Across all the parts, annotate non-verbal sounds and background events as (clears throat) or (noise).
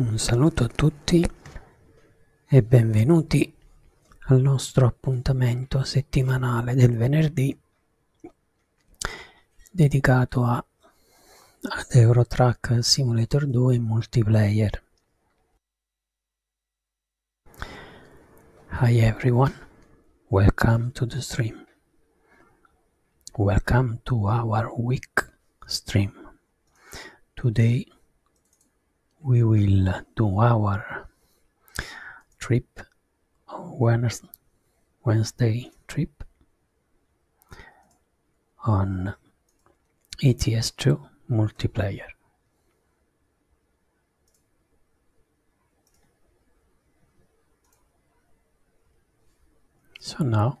Un saluto a tutti e benvenuti al nostro appuntamento settimanale del venerdì dedicato a, ad Eurotrack Simulator 2 in multiplayer. Hi everyone, welcome to the stream. Welcome to our week stream. Today we will do our trip Wednesday trip on ETS2 multiplayer. So now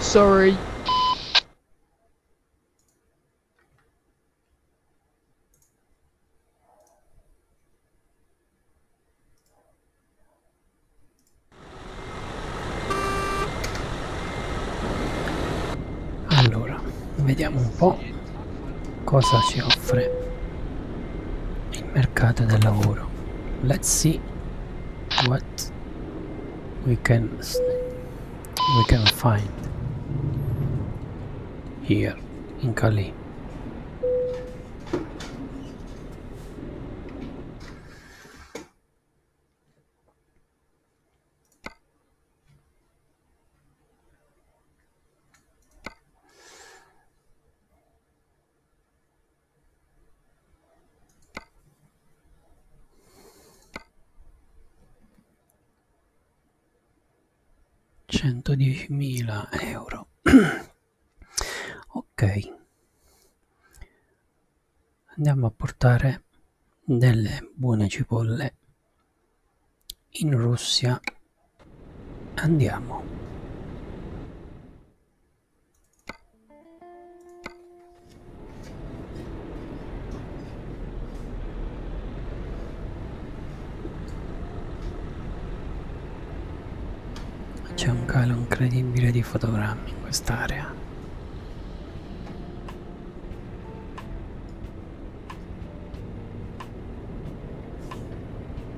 Sorry. Allora, vediamo un po' cosa ci offre il mercato del lavoro. Let's see what we can we can find here in Cali. 110.000 euro ok andiamo a portare delle buone cipolle in Russia andiamo c'è un calo incredibile di fotogrammi in quest'area.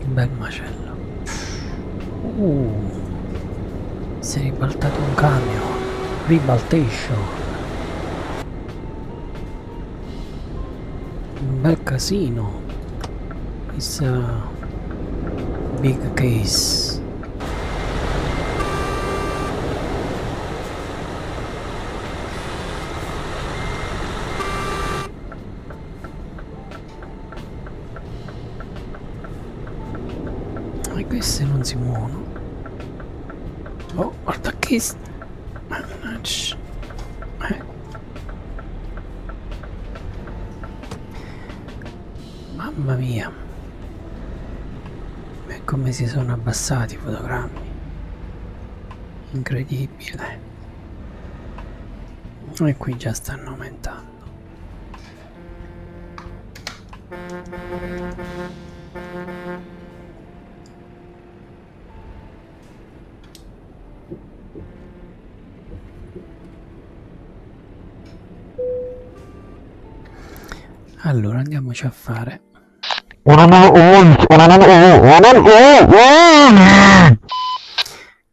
Che bel macello. Uh, si è ribaltato un camion. Ribaltation. Un bel casino. It's a big case e queste non si muovono oh guarda che mannaggia eh. mamma mia e come si sono abbassati i fotogrammi incredibile e qui già stanno aumentando allora andiamoci a fare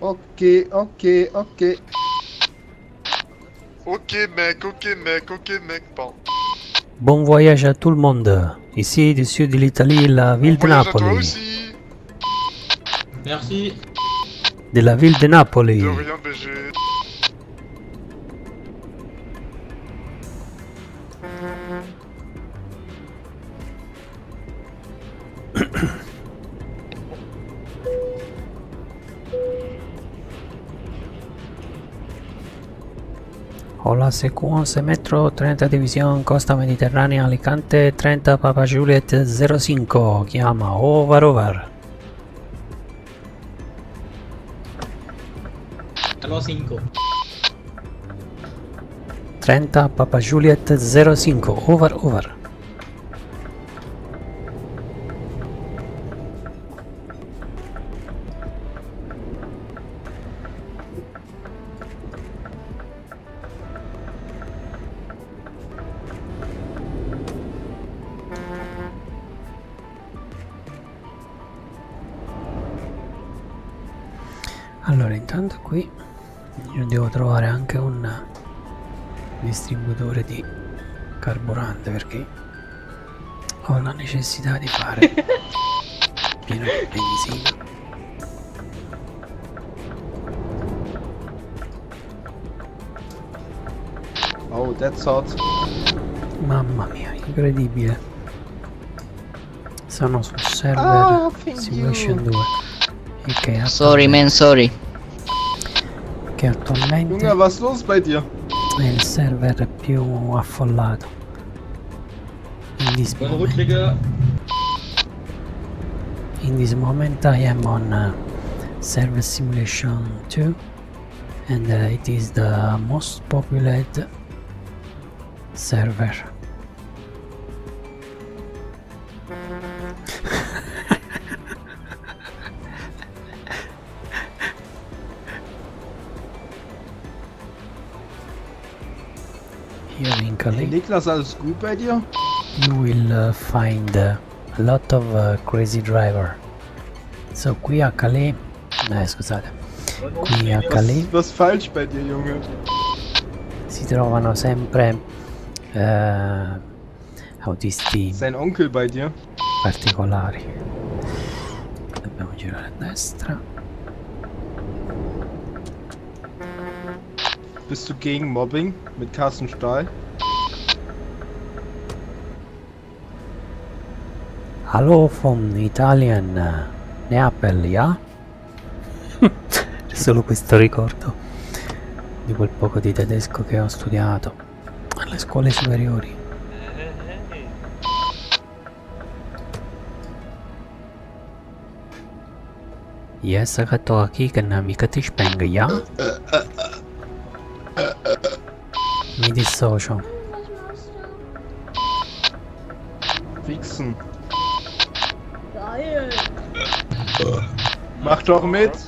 Ok, ok, ok. Ok mec, ok mec, ok mec, Bon voyage à tout le monde. Ici, du sud de l'Italie, la ville de Napoli. Merci. De la ville de Napoli. Hola C11 Metro 30 División Costa Mediterránea Alicante 30 Papa Juliet zero 05 llama Over Over. Hello Papa Juliet zero 05 Over Over. allora intanto qui io devo trovare anche un distributore di carburante perché ho la necessità di fare (laughs) pieno di benzina Oh, that's hot. Mamma mia, incredibile. Sono sul server oh, Simulation you. 2. Sorry, man, sorry. Che attualmente... was los bei dir? È il server più affollato. In this moment... In this moment I am on uh, Server Simulation 2 and uh, it is the most populated server. Here in Calais. Niklas als Wikipedia. You will uh, find uh, a lot of uh, crazy driver. So qui a Calais. Eh, scusate. Qui a Calais. Was, was falsch bei dir, Junge? Si trovano sempre eh, How this team. Sein Onkel bei dir? Particolari. Dobbiamo girare a destra. Bist du gegen Mobbing mit Carsten Stahl? Hallo vom Italien, äh, Neapel, ja? (laughs) C'è solo questo ricordo di quel poco di tedesco che ho studiato alle scuole superiori. Yes, I got to key can make a tish bang, yeah? Mi dissocio. Fixen. Geil. Mach doch mit.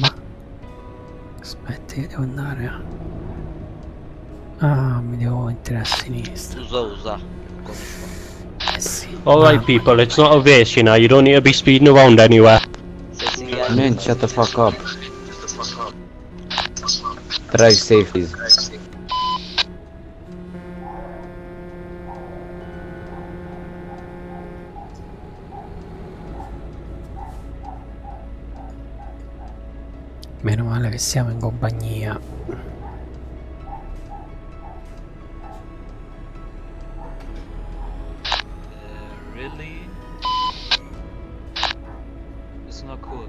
Ma aspetti che devo andare a... Eh. Ah mi devo eh Alright ah. people it's not a race you know you don't need to be speeding around anywhere Man shut the fuck up Drive safely. Meno male che siamo in compagnia. Uh, really? It's not cool.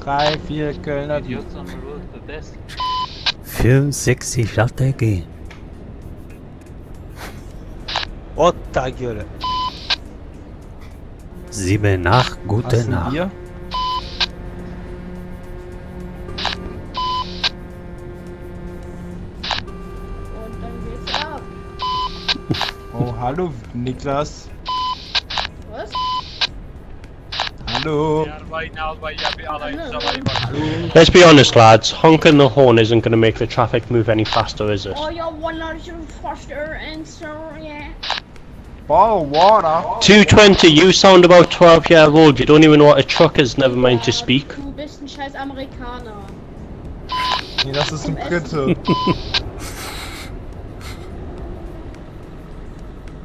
Drei, vier Kölner. Idiots on the road, the best. 65 Latteke. Otta göre. Sieben Nacht, gute Hast Nacht. Bier? Oh, hallo, Niklas. Was? Let's be honest, lads. Honking the horn isn't going to make the traffic move any faster, is it? Oh, you're water. Two twenty. You sound about twelve years old. You don't even know what a truck is. Never mind to speak. Du bist ein scheiß (laughs)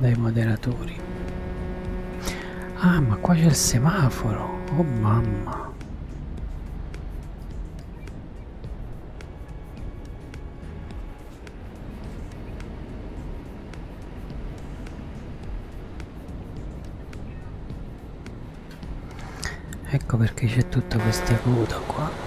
dai moderatori ah ma qua c'è il semaforo oh mamma ecco perché c'è tutto questo acuto qua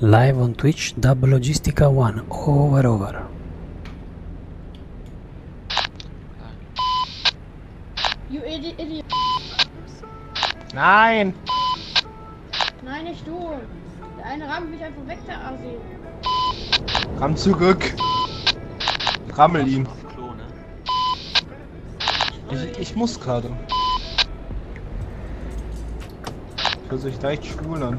Live on Twitch, Dub Logistica 1, over over. You idiot, idiot. Nine. Nine is door. Der eine rammt mich einfach weg, der Asi. Ramm zurück. Rammel ihn. Ne? Ich, ich muss gerade. Ich höre sich leicht schwul an.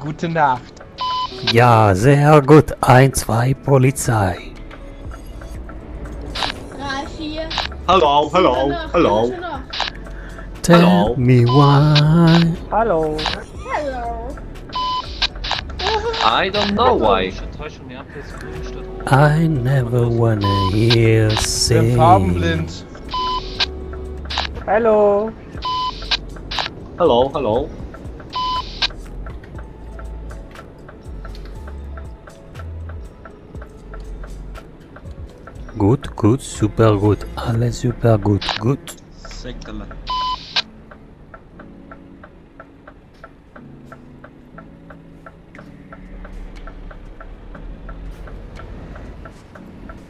Gute Nacht. Ja, sehr gut. 1, 2, Polizei. Hello, hello, hello. Tell hello. me why. Hello. Hello. I don't know why. I never wanna hear sing. Farbenblind. Hello. Hello. Hello, Good, good, super good. Allez, super good, good.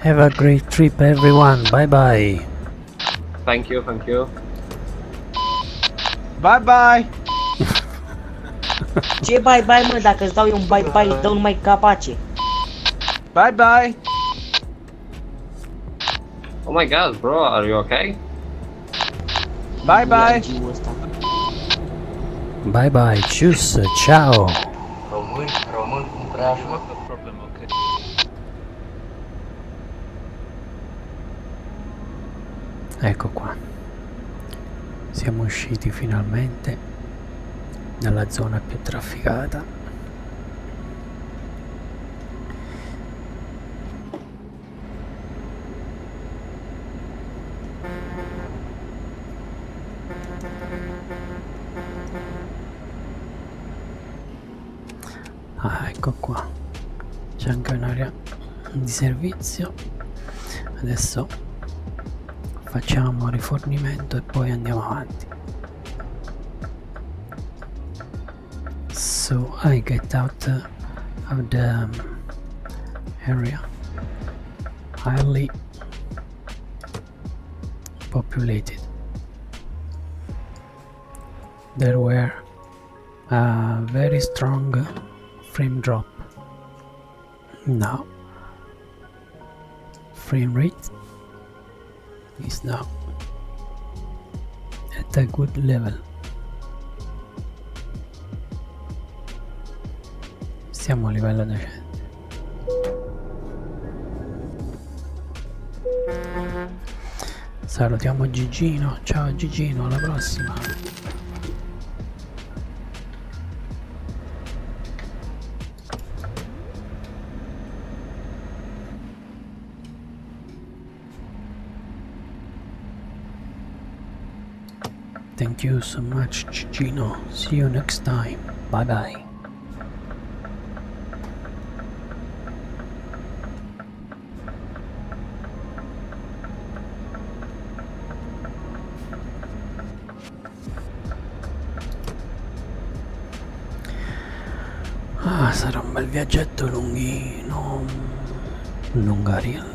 Have a great trip everyone. Bye bye. Thank you, thank you. Bye bye! Ce bye bye mă, dacă îți dau bye bye, îți dau capace. Bye bye! Oh my god, bro, are you okay? Bye bye! Bye bye, cius, ciao! Român, problem, okay. Ecco qua, siamo usciti finalmente dalla zona più trafficata ah, ecco qua c'è anche un'area di servizio adesso facciamo rifornimento e poi andiamo avanti so I get out of the um, area highly populated. There were a very strong frame drop. Now, frame rate is now at a good level. Siamo livello decente. Salutiamo Gigino, ciao Gigino, alla prossima. Thank you so much Gigino, see you next time, bye bye. Ah, sarà un bel viaggetto lunghino. Lungarian.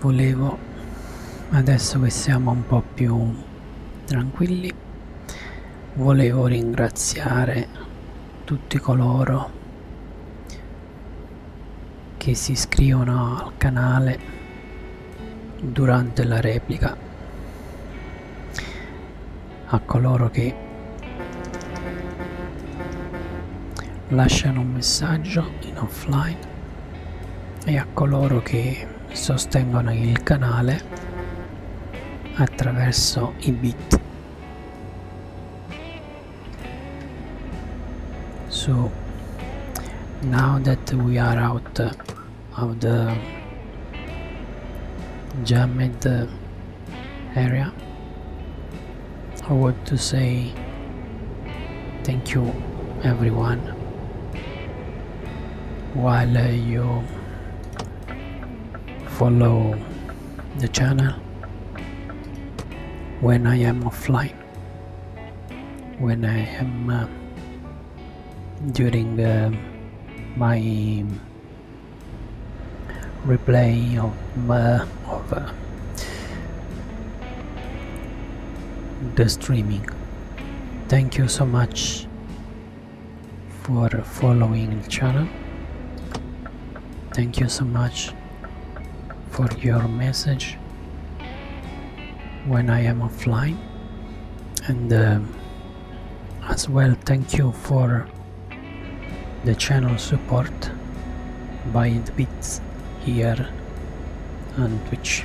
volevo adesso che siamo un po' più tranquilli volevo ringraziare tutti coloro che si iscrivono al canale durante la replica a coloro che lasciano un messaggio in offline e a coloro che sostengono il canale attraverso i bit. So now that we are out of the jammed area, I want to say Thank you everyone. While uh, you follow the channel when I am offline, when I am uh, during uh, my replay of, my. Uh, of the streaming thank you so much for following the channel thank you so much for your message when I am offline and um, as well thank you for the channel support by the bits here on Twitch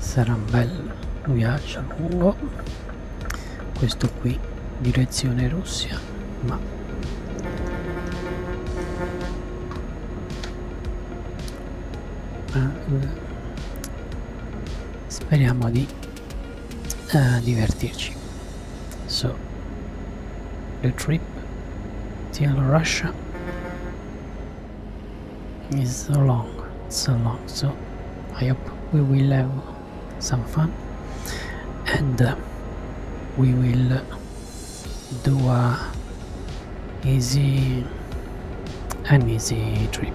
sarà un bel viaggio lungo questo qui direzione Russia ma Ah, speriamo di eh, divertirci so the trip to Russia is so long so long so I hope we will have some fun and uh, we will do a easy and easy trip.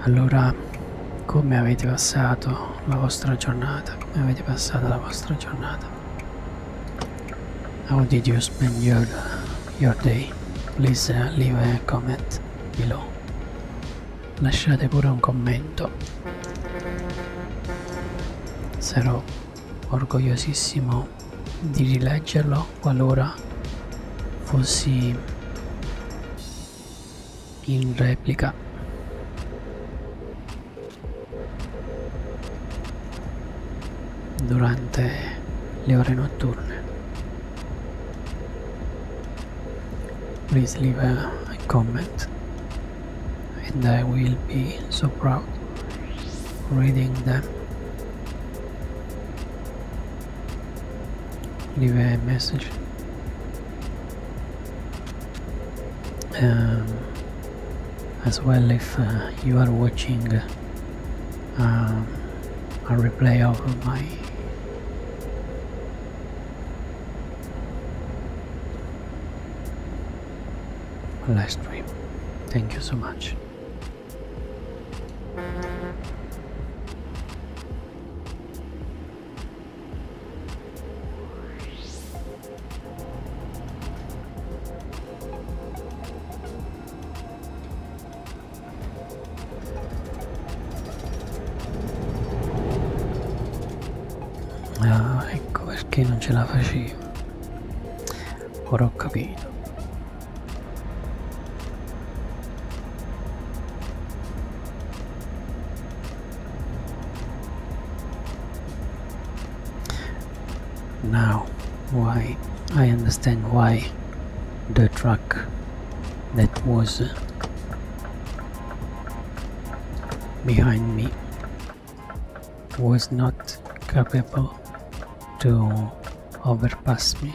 allora come avete passato la vostra giornata come avete passato la vostra giornata how did you spend your, your day please uh, leave a comment below lasciate pure un commento sarò orgogliosissimo di rileggerlo qualora fossi in replica durante le ore notturne. Please leave a, a comment and I will be so proud reading them. Leave a message Um, as well if uh, you are watching um, a replay of my last dream, thank you so much Ah, ecco perché non ce la facevo. Ora ho capito. Now, why I understand why the truck that was uh, behind me was not capable to overpass me.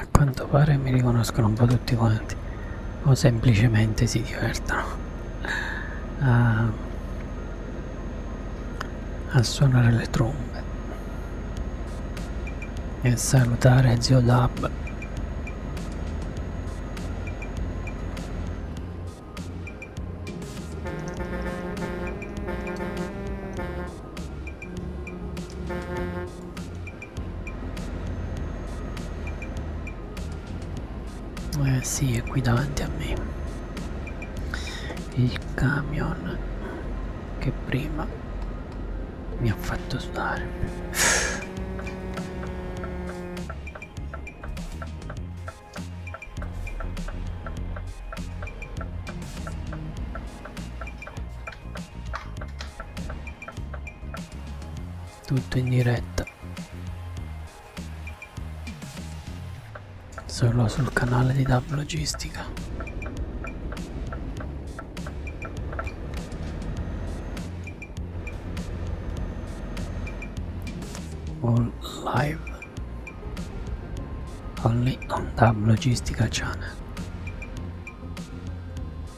a quanto pare mi riconoscono un po' tutti quanti o semplicemente si divertono a, a suonare le trombe e salutare zio Dab eh sì è qui davanti a me il camion che prima mi ha fatto sudare tutto in diretta solo sul canale di Dub Logistica all live only on Dub Logistica Channel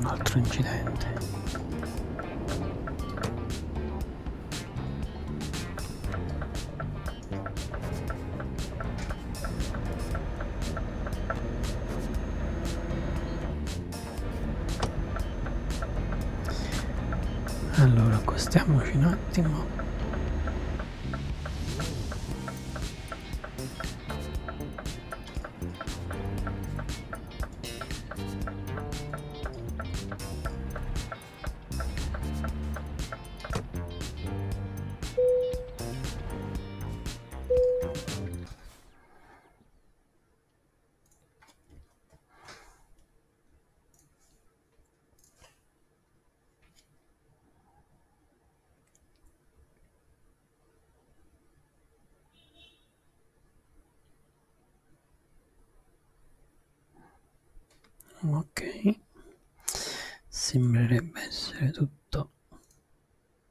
Un altro incidente. Allora, accostiamoci un attimo ok sembrerebbe essere tutto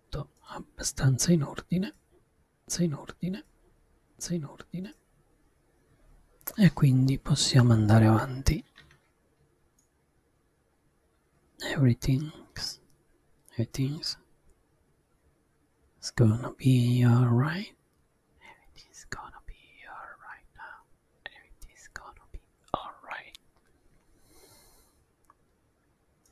tutto abbastanza in ordine, in ordine, in ordine e quindi possiamo andare avanti. Everything's, everything's it's gonna be alright. Everything's gonna be alright now. Everything's gonna be alright.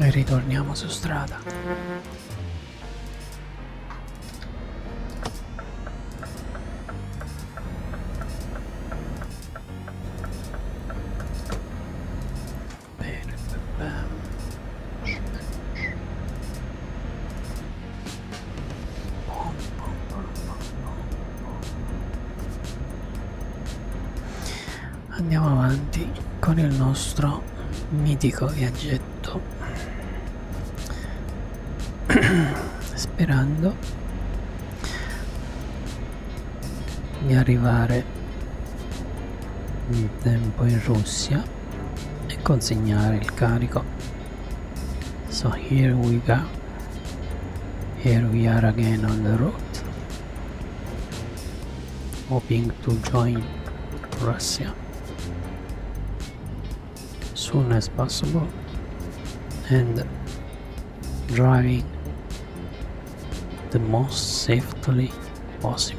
e ritorniamo su strada Bene, andiamo avanti con il nostro mitico viaggetto (clears throat) sperando di arrivare in tempo in Russia e consegnare il carico so here we go here we are again on the road hoping to join Russia soon as possible and driving the most safely possible.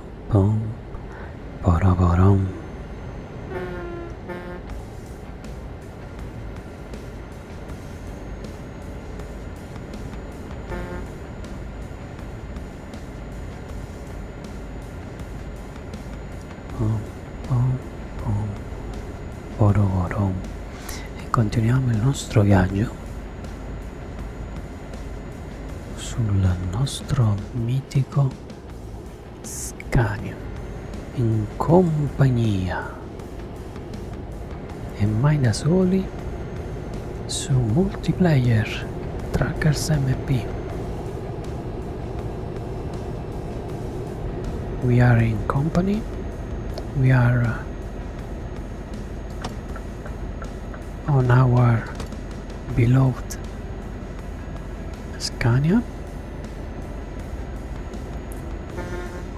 Boom, bada bada. Boom, boom, boom, bada bada. E continuiamo il nostro viaggio sul nostro mitico Scania in compagnia e mai da soli su multiplayer Trackers MP. We are in company, we are on our beloved Scania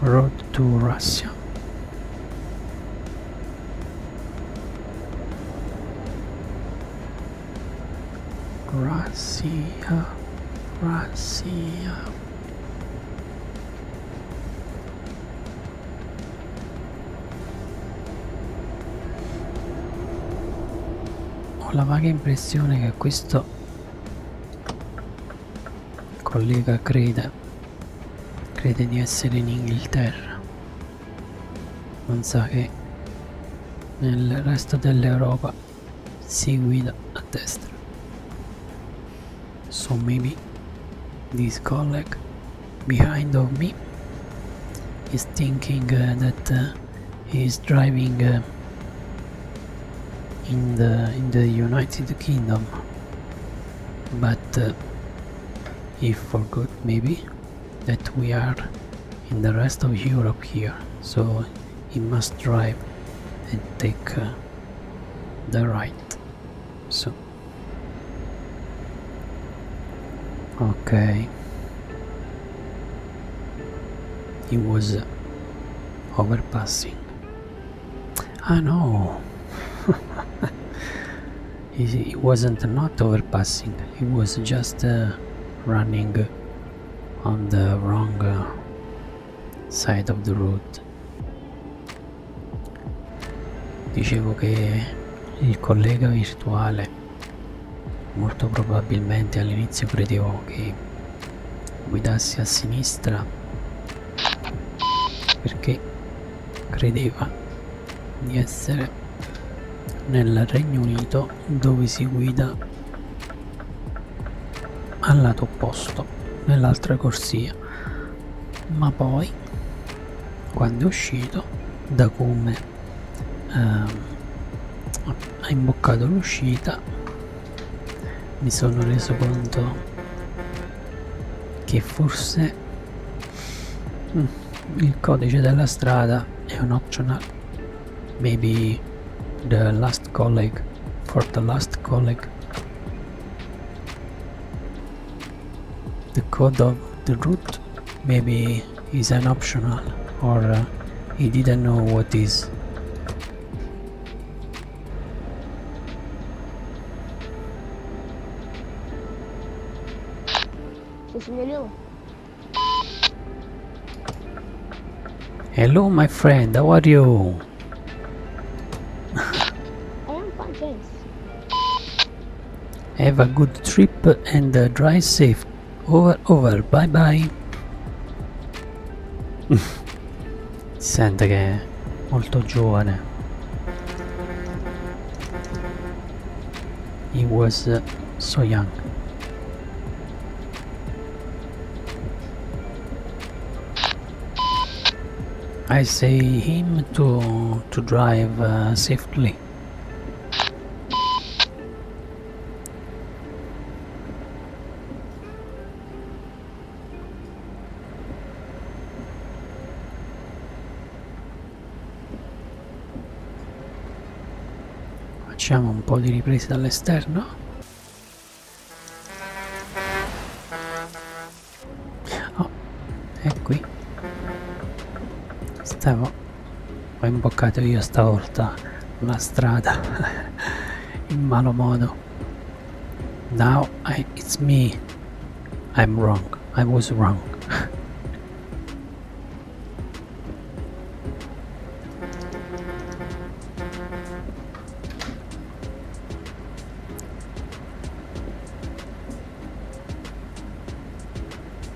Road to Russia Russia Russia Ho la vaga impressione che questo collega crede, crede di essere in Inghilterra. Non sa che nel resto dell'Europa si guida a destra. So maybe this colleague behind of me is thinking uh, that uh, he is driving uh, in the in the United Kingdom but he forgot maybe that we are in the rest of Europe here so he must drive and take the right so okay he was overpassing I know (laughs) he, wasn't not overpassing he was just uh, running on the wrong uh, side of the road dicevo che il collega virtuale Molto probabilmente all'inizio credevo che guidassi a sinistra perché credeva di essere nel Regno Unito dove si guida al lato opposto nell'altra corsia ma poi quando è uscito da come uh, ehm, ha imboccato l'uscita mi sono reso conto che forse mm, il codice della strada è un optional maybe the last colleague for the last colleague the code of the route maybe maybe is an optional or uh, he didn't know what is. Hello my friend, how are you? (laughs) I am fine, thanks. Have a good trip and uh, drive safe. Over, over, bye bye. Sente molto giovane. He was so young. I say him to to drive uh, safely. anni. Facciamo un po' di riprese dall'esterno. Oh, è qui. Stavo ho imboccato io stavolta la strada (laughs) in malo modo now I, it's me I'm wrong I was wrong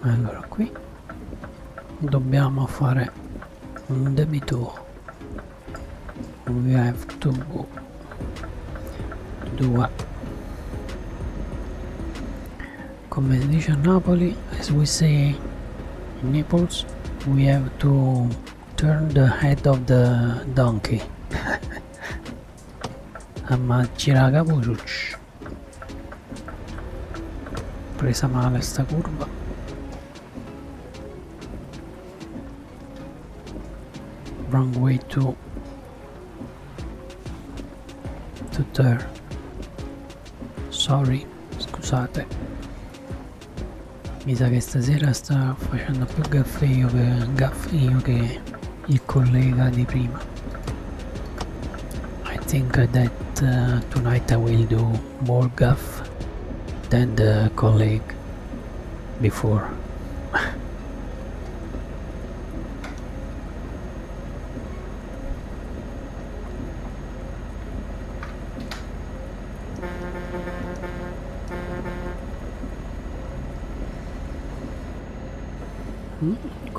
allora qui dobbiamo fare un debito we have to do come si dice a Napoli as we say nipples we have to turn the head of the donkey (laughs) amma giraga Vucic presa male sta curva wrong way to to turn sorry scusate mi sa che stasera sta facendo più gaffe io che, gaffe io che il collega di prima I think that uh, tonight I will do more gaff than the colleague before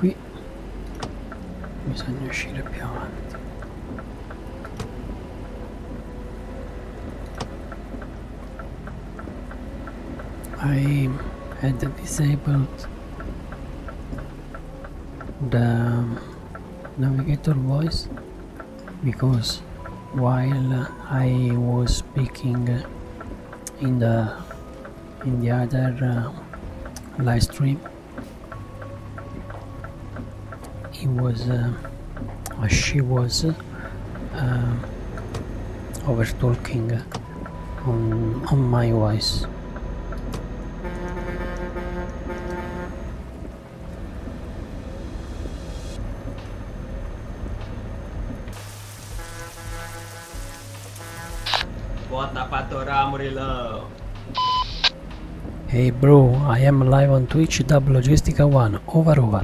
I bisogna uscire più avanti I had disabled the navigator voice because while I was speaking in the in the other uh, live stream he was uh, she was uh, over talking on, on my voice What ramurillo? Hey bro, I am live on Twitch Dub Logistica 1, over over.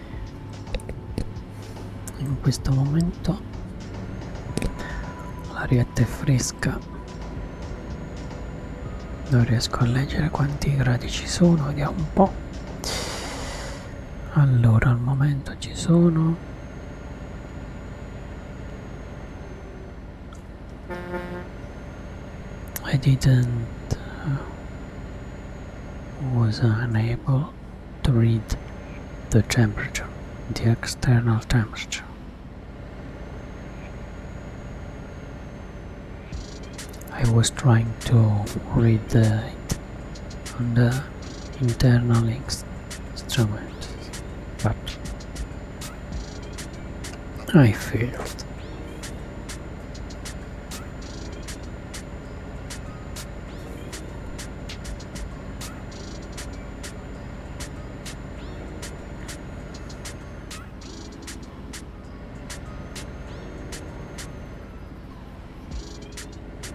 in questo momento l'arietta è fresca non riesco a leggere quanti gradi ci sono vediamo un po' allora al momento ci sono 20 I didn't was unable to read the temperature, the external temperature. I was trying to read the, on the internal instrument, but I failed.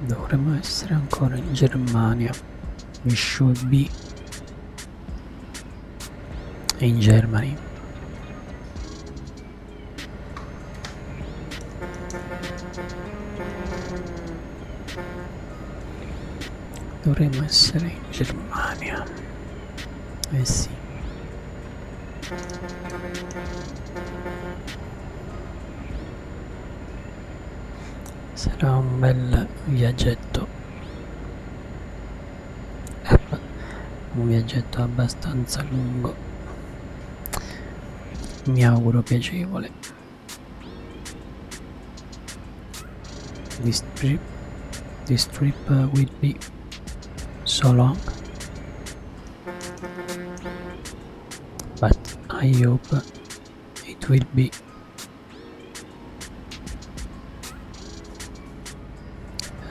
Dovremmo essere ancora in Germania, we should be in Germany dovremmo essere in Germania eh sì sarà un bel viaggetto un viaggetto abbastanza lungo mi auguro piacevole This trip, this trip uh, will be so long, but I hope it will be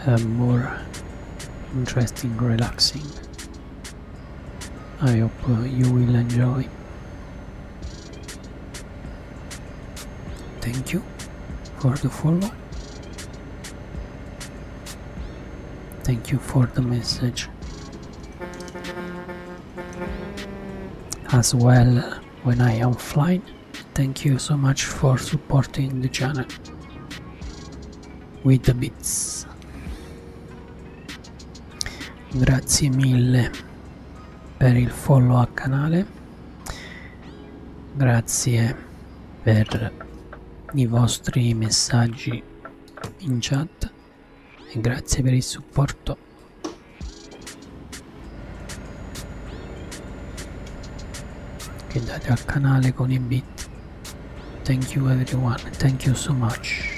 uh, more interesting, relaxing. I hope uh, you will enjoy. Thank you for the follow. Thank you for the message. As well, uh, when I am flying, thank you so much for supporting the channel with the bits. grazie mille per il follow al canale grazie per i vostri messaggi in chat e grazie per il supporto che date al canale con i beat thank you everyone thank you so much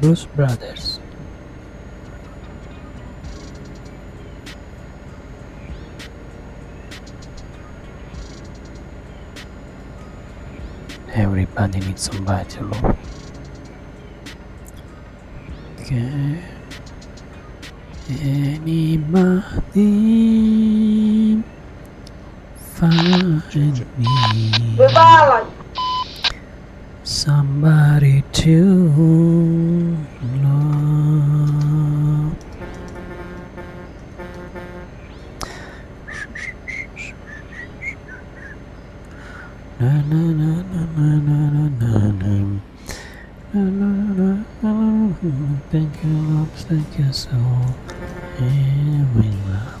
Bruce Brothers. Everybody needs somebody to love. Okay. Anybody find me? somebody to love. Na na na na na na na na. Thank you, love, thank you so. Yeah, love.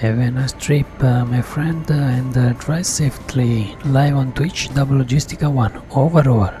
Have a nice trip, uh, my friend, uh, and uh, drive safely. Live on Twitch, Double Logistica 1. Over, over.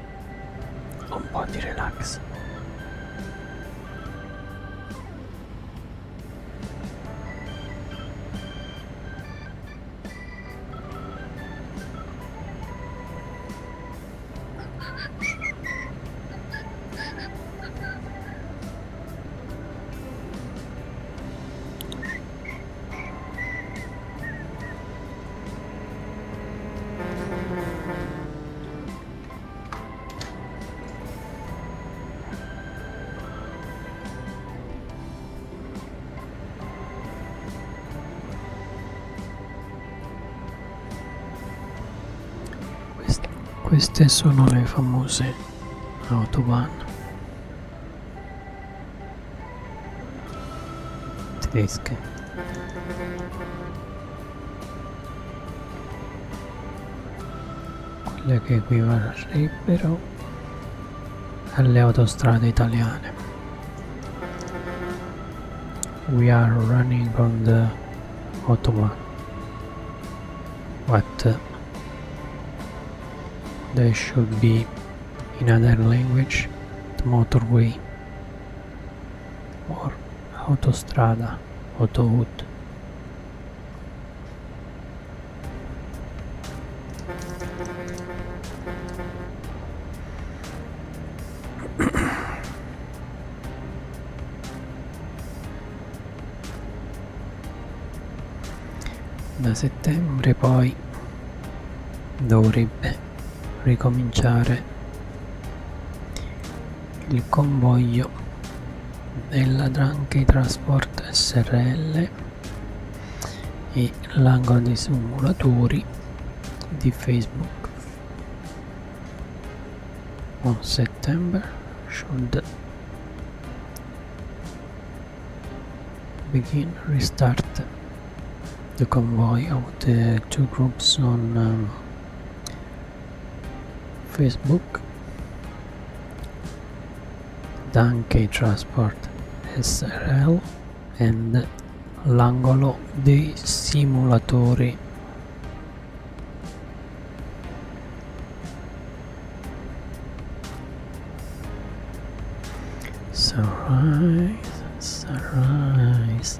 un po' di relax queste, queste sono le famose autobahn tedesche quella che equivarrebbero alle autostrade We are running on the autobahn. But uh, there should be in other language the motorway or Autostrada Autohut Da settembre poi dovrebbe ricominciare il convoglio della Dranchi Transport SRL e l'angolo dei simulatori di Facebook on September should begin restart the convoy of the two groups on um, Facebook Danke Transport SRL and l'angolo dei simulatori sunrise sunrise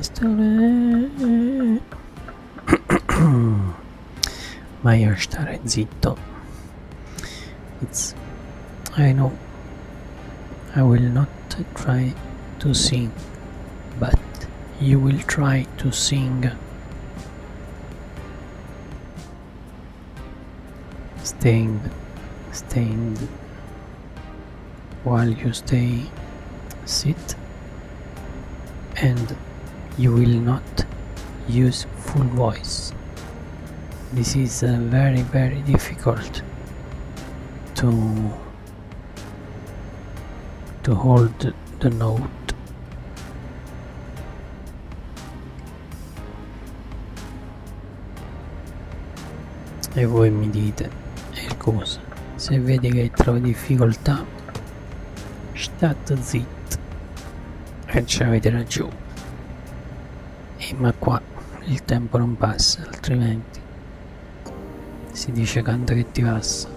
stare ma io stare zitto it's I know I will not try to sing but you will try to sing Stained, stained while you stay sit and you will not use full voice this is uh, very very difficult to to hold the note E voi mi dite, e cosa? Se vedi che trovi difficoltà, state zitto. E ci avete ragione. E ma qua il tempo non passa, altrimenti si dice canta che ti passa.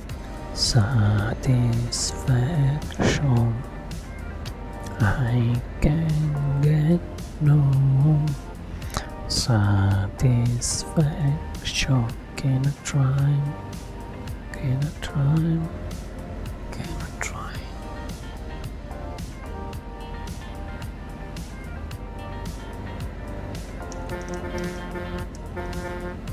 satisfaction I can get no satisfaction can I try can I try can I try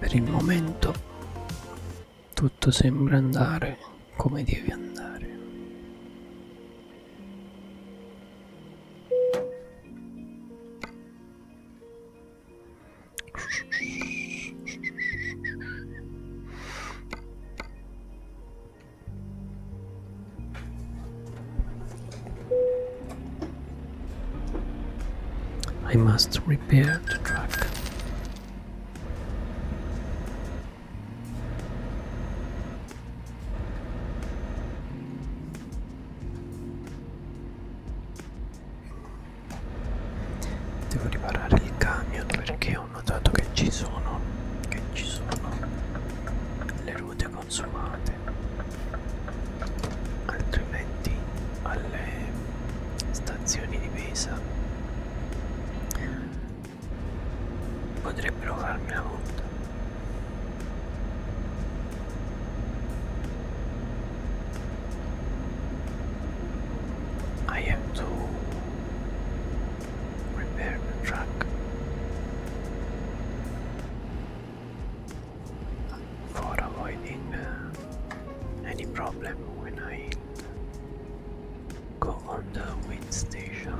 Per il momento tutto sembra andare come devi andare. I must repair the truck. Devo riparare il camion perché ho notato che ci sono, che ci sono le ruote consumate altrimenti alle stazioni di Pesa potrebbero farmi la multa I have to repair the truck for avoiding any problem when I go on the wind station.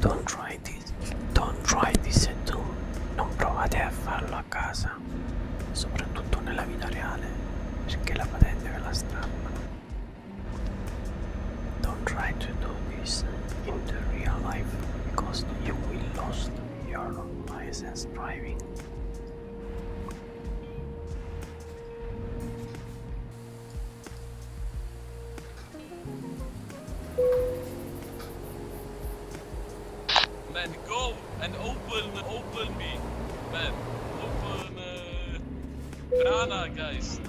Don't try this, don't try this at home. Non provate a farlo a casa, soprattutto nella vita reale, perché la patente ve la strappano. Don't try to do this in the real life because you will lose your license driving. Man, go and open, open me, man, open. Uh, Banana, guys.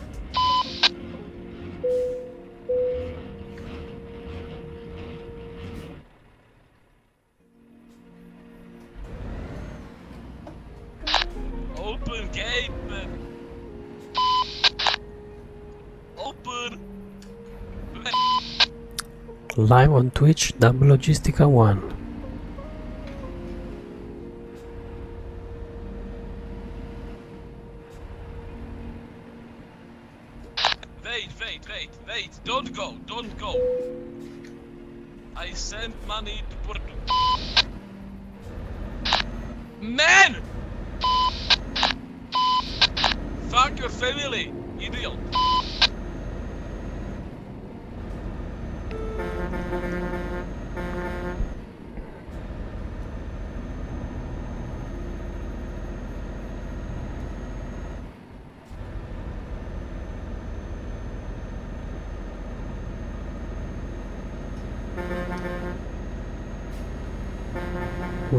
Open game. Open. Live on Twitch, Double One. Wait, wait, wait, wait, don't go, don't go. I sent money to Porto. Man! Fuck your family, idiot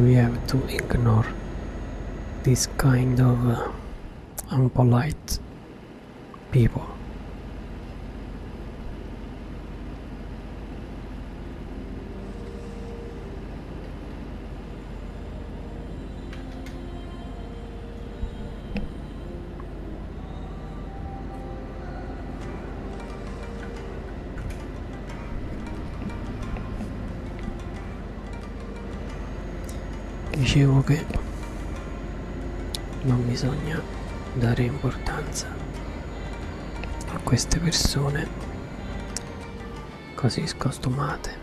we have to ignore this kind of uh, impolite people dicevo che non bisogna dare importanza a queste persone così scostumate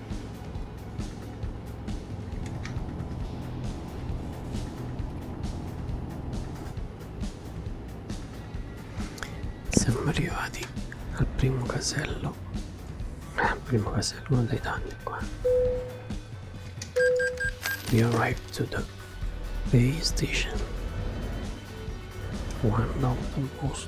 Siamo arrivati al primo casello. Al eh, primo casello, uno dei tanti qua. We arrived to the Bay Station. One of the most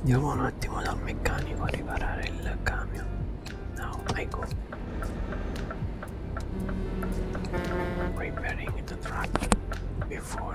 Andiamo un attimo dal meccanico a riparare il camion. Now I go. Ecco. Repairing the truck before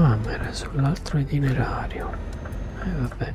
Ah, ma era sull'altro itinerario. E eh, vabbè.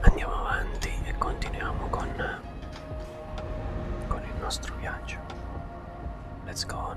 Andiamo avanti e continuiamo con con il nostro viaggio. Let's go on.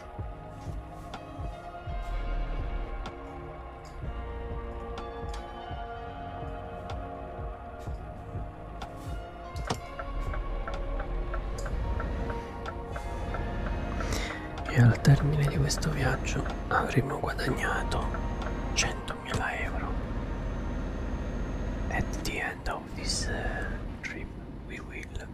E al termine di questo viaggio avremo guadagnato 100.000 euro. At the end of this uh, trip we will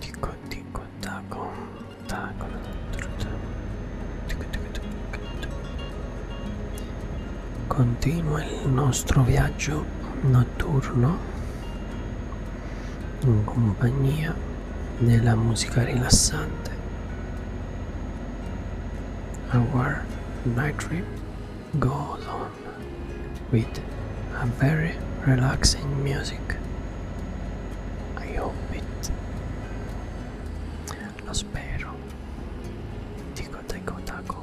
Ticco ticco taco taco Ticco ticco ticco Continua il nostro viaggio notturno in compagnia della musica rilassante Our night trip goes on with a very relaxing music. I hope it. Lo spero. Tico tico taco.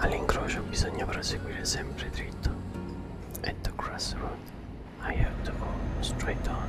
All'incrocio bisogna proseguire sempre dritto. At the crossroad, I have to go straight on.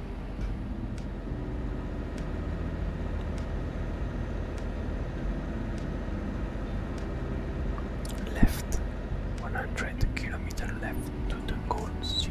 Left 100 kilometers left to the gold city.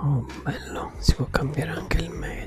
Oh bello, si può cambiare anche il medio.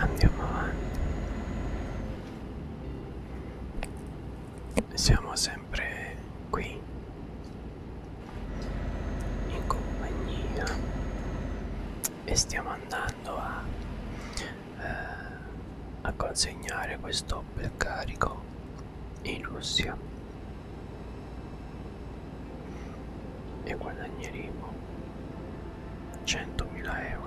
Andiamo avanti. Siamo sempre sempre qui in compagnia e stiamo andando a, eh, a consegnare questo carico in Russia e guadagneremo 100.000 euro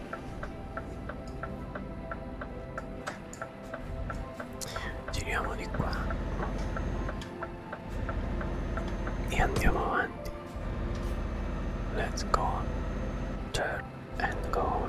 giriamo di qua e andiamo avanti let's go on. turn and go on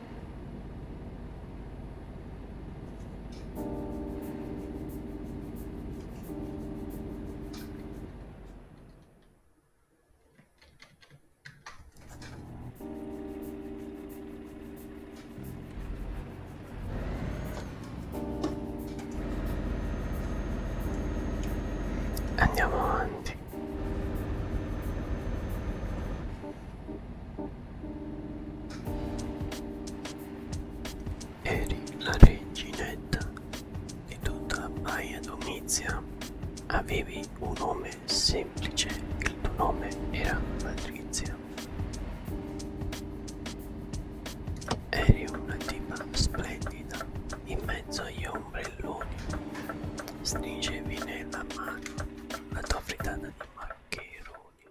Andiamo avanti. Eri la reginetta di tutta Baia Domizia. Avevi un nome semplice, il tuo nome era Patrizia. Eri una tipa splendida in mezzo agli ombrelloni. Stringevi nella mano la tua frittata di maccheroni.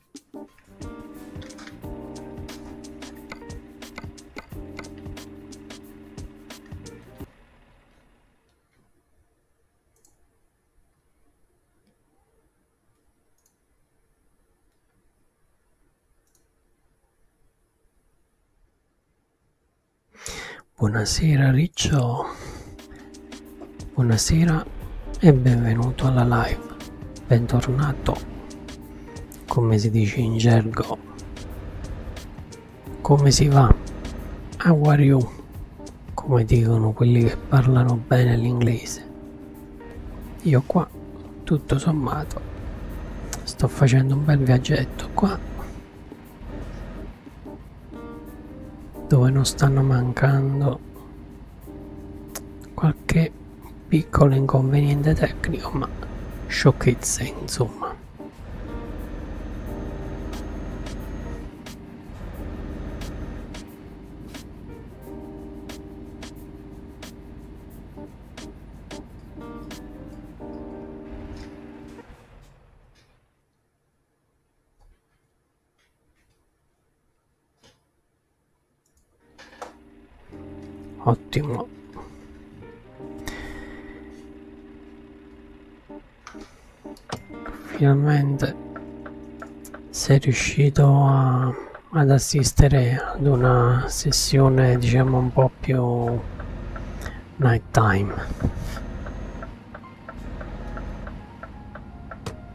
Buonasera Riccio. Buonasera e benvenuto alla live. Bentornato, come si dice in gergo. Come si va? How are you? Come dicono quelli che parlano bene l'inglese. Io qua, tutto sommato, sto facendo un bel viaggetto qua dove non stanno mancando qualche piccolo inconveniente tecnico ma sciocchezze insomma ottimo finalmente sei riuscito a, ad assistere ad una sessione diciamo un po' più night time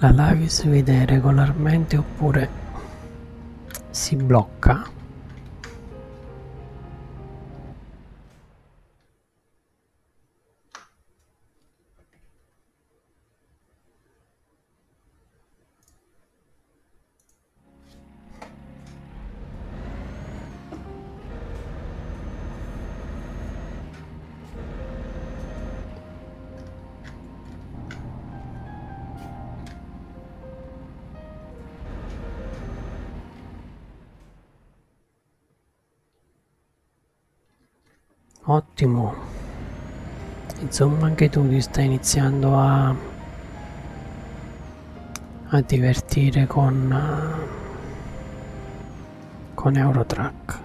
La live si vede regolarmente oppure si blocca? Ottimo. Insomma, anche tu ti stai iniziando a, a divertire con eh, con Eurotrack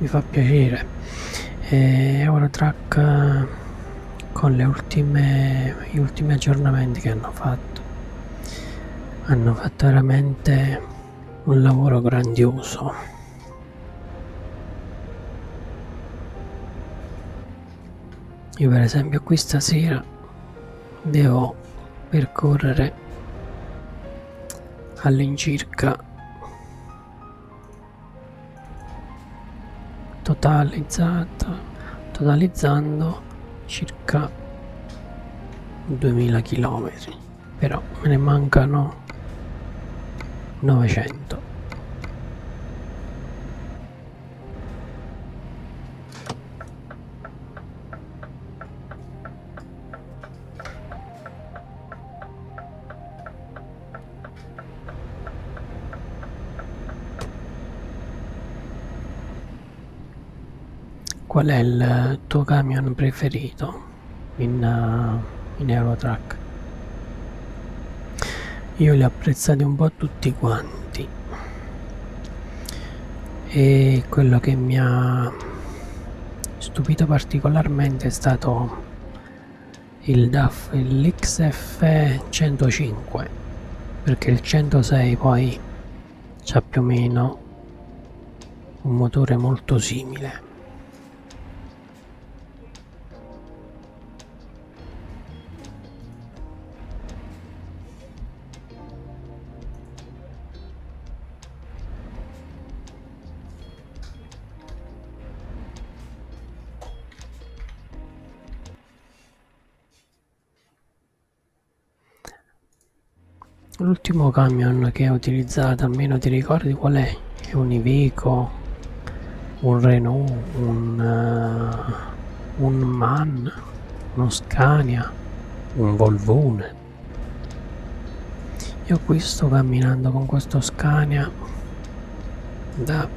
mi fa piacere e Eurotrack con le ultime gli ultimi aggiornamenti che hanno fatto hanno fatto veramente un lavoro grandioso io per esempio qui stasera devo percorrere all'incirca totalizzata totalizzando circa 2000 km però me ne mancano 900 Qual è il tuo camion preferito in, uh, in Eurotrack? Io li ho apprezzati un po' tutti quanti e quello che mi ha stupito particolarmente è stato il DAF, l'XF105 perché il 106 poi ha più o meno un motore molto simile L'ultimo camion che ho utilizzato, almeno ti ricordi qual è? È un Iveco, un Renault, un, uh, un MAN, uno Scania, un Volvone io qui sto camminando con questo scania da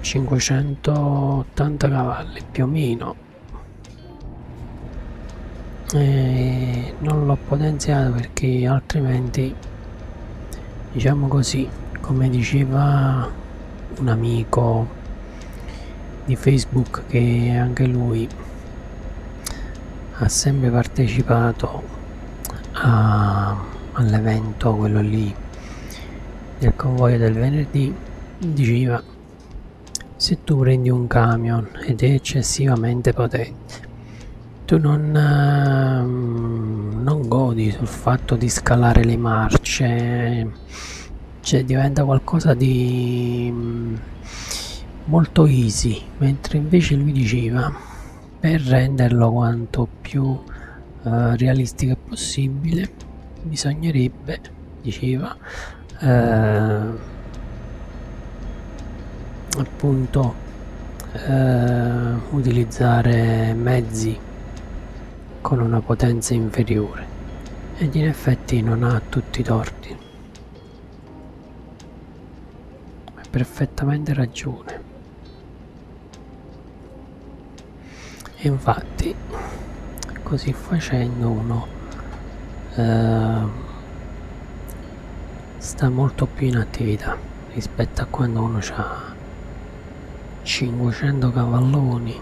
580 cavalli più o meno e non l'ho potenziato perché altrimenti diciamo così come diceva un amico di facebook che anche lui ha sempre partecipato all'evento quello lì del convoglio del venerdì diceva se tu prendi un camion ed è eccessivamente potente tu non, uh, non godi sul fatto di scalare le marce cioè diventa qualcosa di mm, molto easy mentre invece lui diceva per renderlo quanto più eh, realistico possibile bisognerebbe diceva eh, appunto eh, utilizzare mezzi con una potenza inferiore ed in effetti non ha tutti i torti hai perfettamente ragione. E infatti, così facendo uno eh, sta molto più in attività rispetto a quando uno ha 500 cavalloni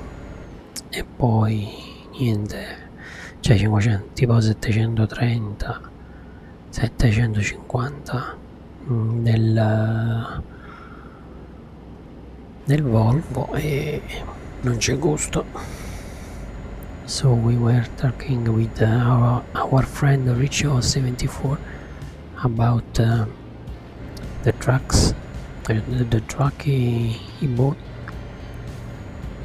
e poi niente cioè 500 tipo 730 750 mm, nel, nel Volvo e non c'è gusto so we were talking with uh, our, our friend Richo 74 about uh, the trucks uh, the, the, truck he, he, bought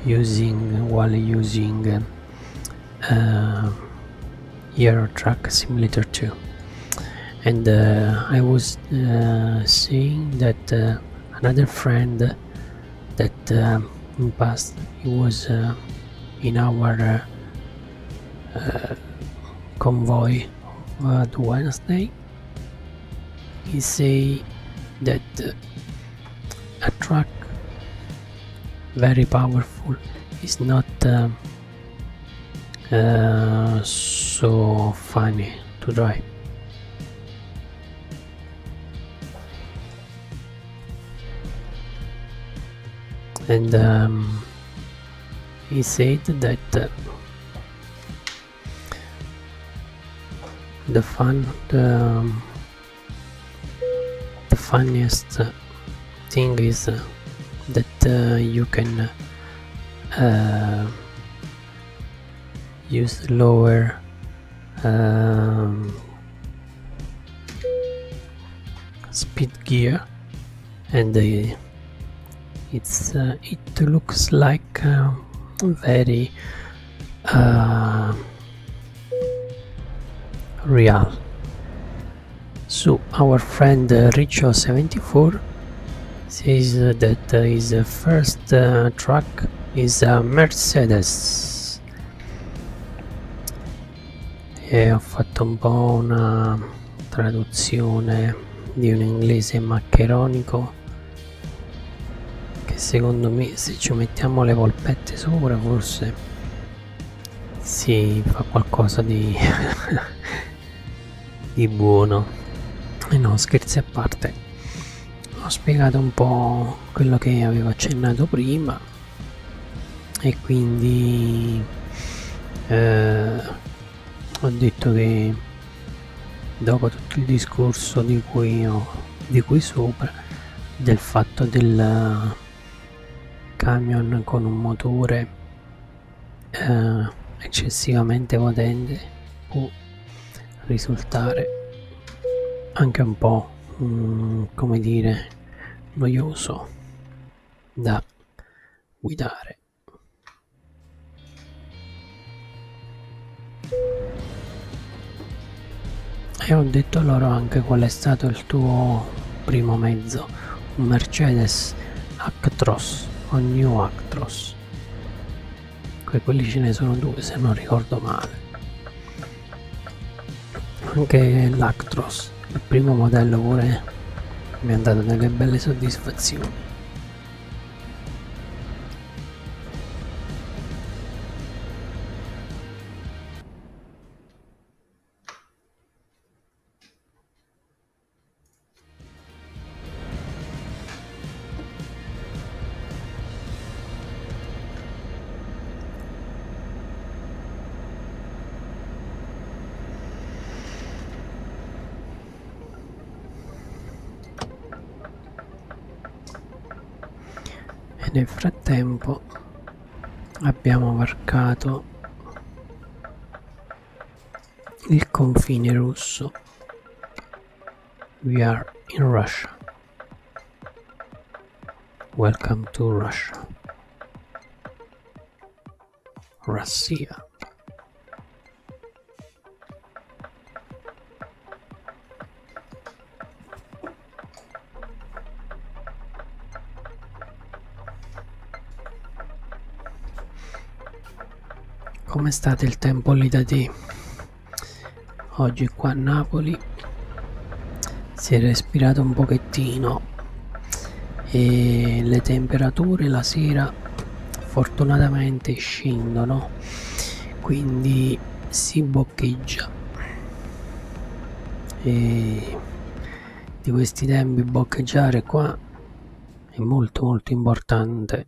using while using uh, Euro Truck Simulator 2 and uh, I was uh, seeing that uh, another friend that passed, um, in he was in our convoy on Wednesday he say that a truck very powerful it's not uh, uh, so funny to drive and um, he said that uh, the fun um, the funniest thing is uh, that uh, you can uh, uh use lower um, speed gear and it's it looks like very real so our friend uh, Richo74 says uh, that uh, his first uh, truck is a Mercedes e ho fatto un po' una traduzione di un inglese maccheronico che secondo me se ci mettiamo le polpette sopra forse si fa qualcosa di, (laughs) di buono e eh no scherzi a parte ho spiegato un po' quello che avevo accennato prima e quindi eh, ho detto che dopo tutto il discorso di cui, ho, di cui sopra del fatto del camion con un motore eh, eccessivamente potente può risultare anche un po' mm, come dire noioso da guidare e ho detto loro anche qual è stato il il tuo primo mezzo, un Mercedes Actros o New Actros. Que quelli ce ne sono due se non ricordo male. Anche l'Actros, il primo modello pure mi ha dato delle belle soddisfazioni. E nel frattempo abbiamo varcato il confine russo we are in Russia welcome to Russia Russia come state il tempo lì da te? Oggi qua a Napoli si è respirato un pochettino e le temperature la sera fortunatamente scendono quindi si boccheggia e di questi tempi boccheggiare qua è molto molto importante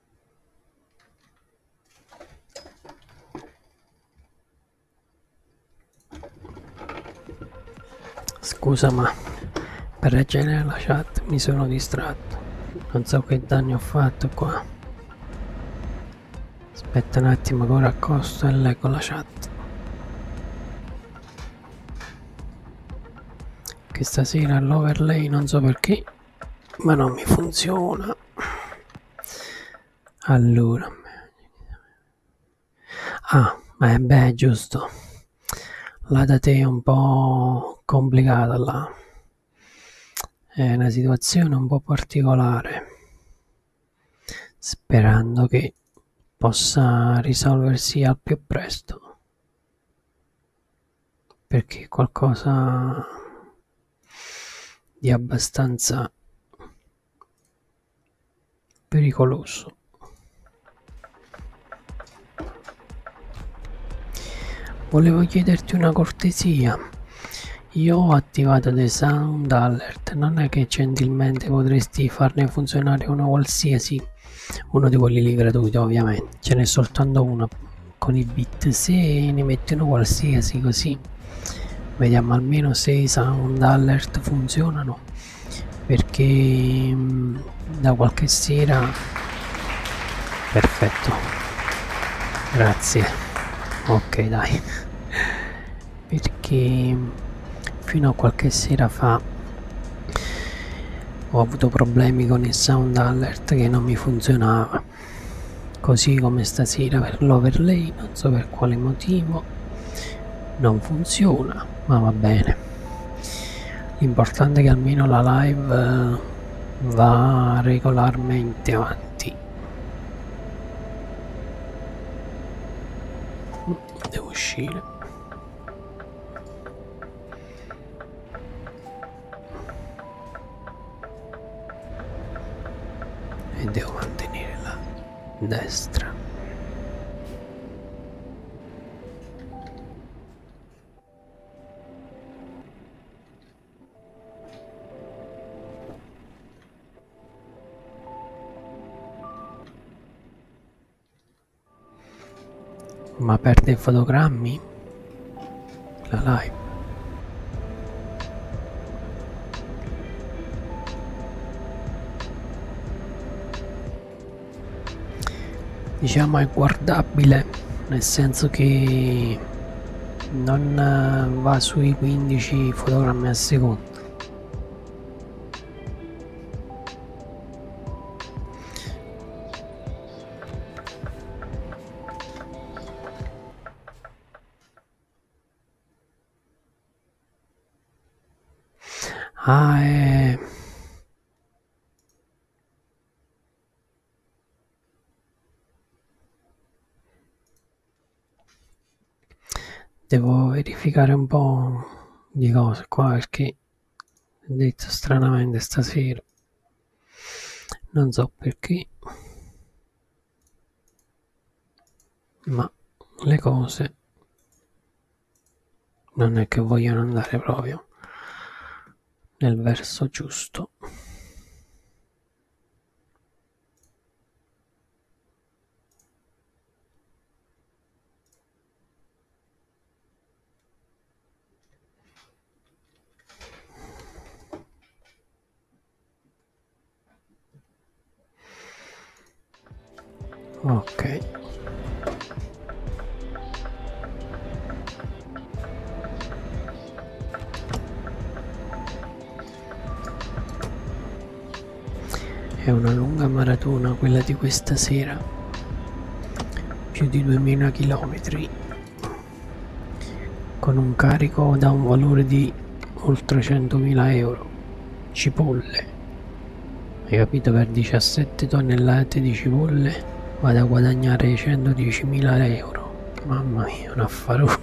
Scusa ma per leggere la chat mi sono distratto. Non so che danni ho fatto qua. Aspetta un attimo che ora accosto e leggo la chat. Che stasera l'overlay non so perché ma non mi funziona allora ah beh, beh giusto la da te è un po' complicata là è una situazione un po' particolare sperando che possa risolversi al più presto perché qualcosa di abbastanza pericoloso volevo chiederti una cortesia io ho attivato dei sound alert non è che gentilmente potresti farne funzionare uno qualsiasi uno di quelli lì gratuito ovviamente ce n'è soltanto una con i bit se ne mettono qualsiasi così vediamo almeno se i sound alert funzionano perché mh, mm, da qualche sera perfetto grazie ok dai perché mm, fino a qualche sera fa ho avuto problemi con il sound alert che non mi funzionava così come stasera per l'overlay non so per quale motivo non funziona ma va bene l'importante è che almeno la live eh, va regolarmente avanti devo uscire e devo mantenere la destra ma perde i fotogrammi la live diciamo è guardabile nel senso che non eh, va sui 15 fotogrammi al secondo Ah, è... Devo verificare un po' di cose qua perché ho detto stranamente stasera non so perché ma le cose non è che vogliono andare proprio nel verso giusto ok è una lunga maratona quella di questa sera più di 2000 chilometri con un carico da un valore di oltre 100.000 euro cipolle hai capito per 17 tonnellate di cipolle vado a guadagnare 110.000 euro mamma mia un affarone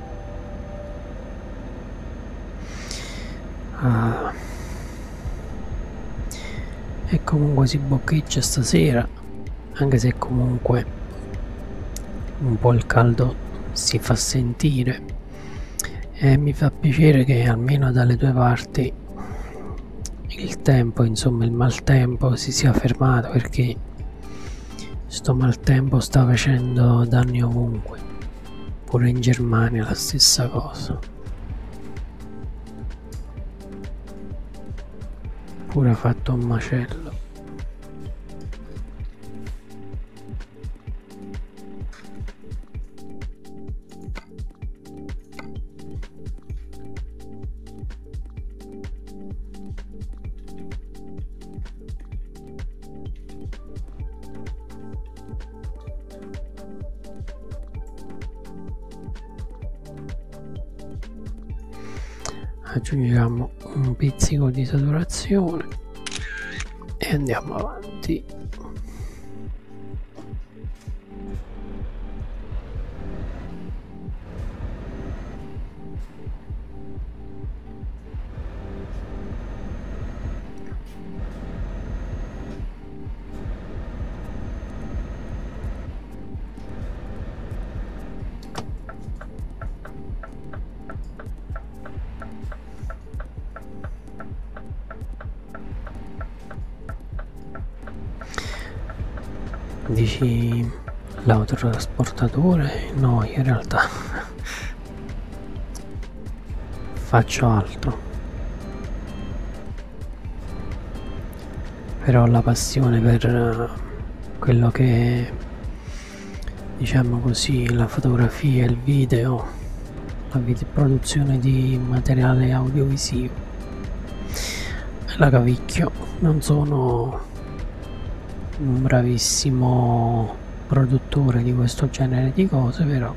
Ah. E comunque si boccheggia stasera, anche se comunque un po' il caldo si fa sentire. E mi fa piacere che almeno dalle due parti il tempo, insomma il maltempo si sia fermato perché sto maltempo sta facendo danni ovunque pure in Germania la stessa cosa pure ha fatto un macello aggiungiamo un pizzico di saturazione e andiamo avanti Dici l'autotrasportatore? No, in realtà faccio altro. Però la passione per eh, quello che diciamo così, la fotografia, il video, la produzione di materiale audiovisivo. La cavicchio, non sono un bravissimo produttore di questo genere di cose però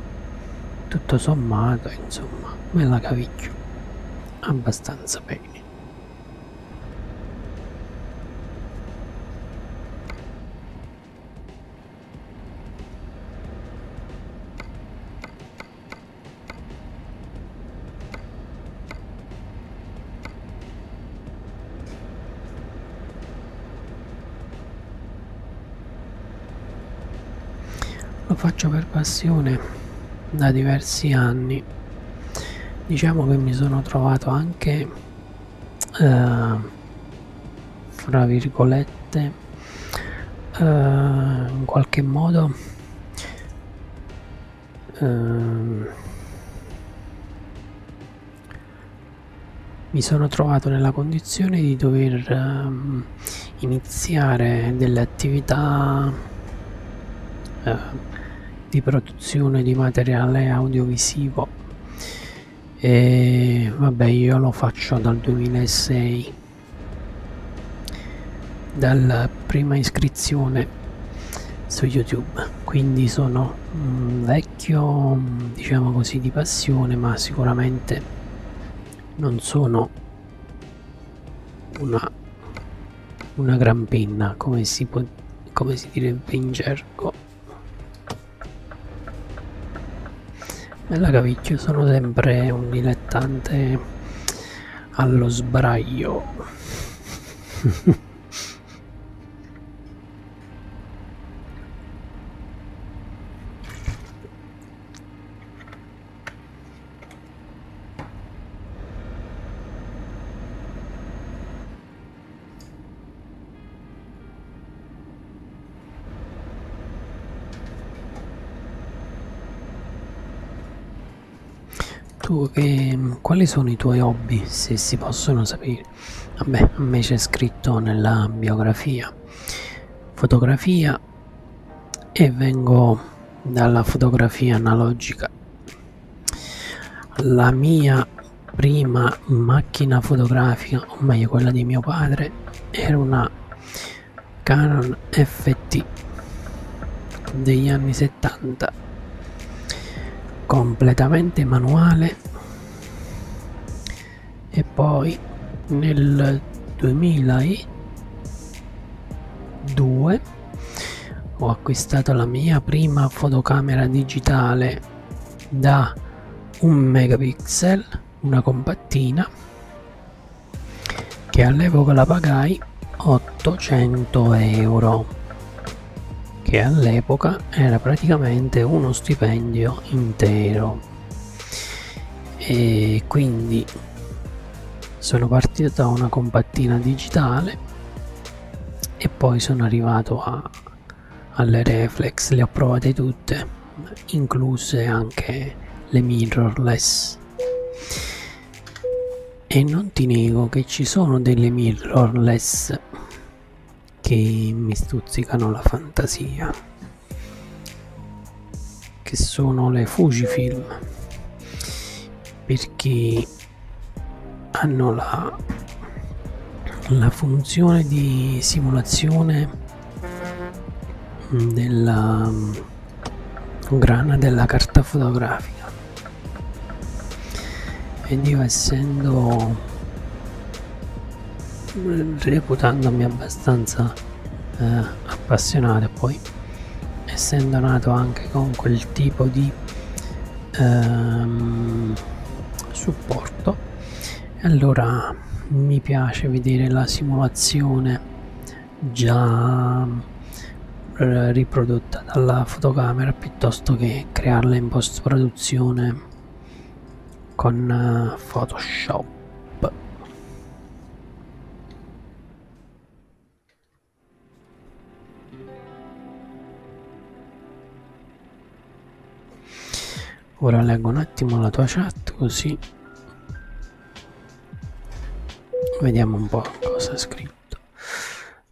tutto sommato insomma me la cavicchio abbastanza bene lo faccio per passione da diversi anni. Diciamo che mi sono trovato anche, eh, fra virgolette, eh, in qualche modo eh, mi sono trovato nella condizione di dover um, iniziare delle attività uh, di produzione di materiale audiovisivo e vabbè io lo faccio dal 2006 dalla prima iscrizione su youtube quindi sono mm, vecchio parecchio diciamo così di passione ma sicuramente non sono una, una gran penna come si può come si direbbe in gergo bella cavicchio sono sempre un dilettante allo sbraio (laughs) Tu, ehm, quali sono i tuoi hobby, se si possono sapere? morire vabbè a me c'è scritto nella biografia fotografia e vengo dalla fotografia analogica la mia prima macchina fotografica o meglio quella di mio padre era una Canon FT degli anni 70 completamente manuale e poi nel 2002 ho acquistato la mia prima fotocamera digitale da 1 megapixel una compattina che all'epoca la pagai 800 euro che all'epoca era praticamente uno stipendio intero no e quindi sono partito da una compattina digitale e poi sono arrivato a, alle reflex le ho provate tutte incluse anche le mirrorless e non ti nego che ci sono delle mirrorless che mi stuzzicano la fantasia, che sono le Fujifilm, perché hanno la, la funzione di simulazione della mm, grana della carta fotografica ed io essendo reputandomi abbastanza eh, appassionato poi essendo nato anche con quel tipo di ehm, supporto allora mi piace vedere la simulazione già eh, riprodotta dalla fotocamera piuttosto che crearla in post produzione con eh, Photoshop. Ora leggo un attimo la tua chat così vediamo un po' cosa è scritto.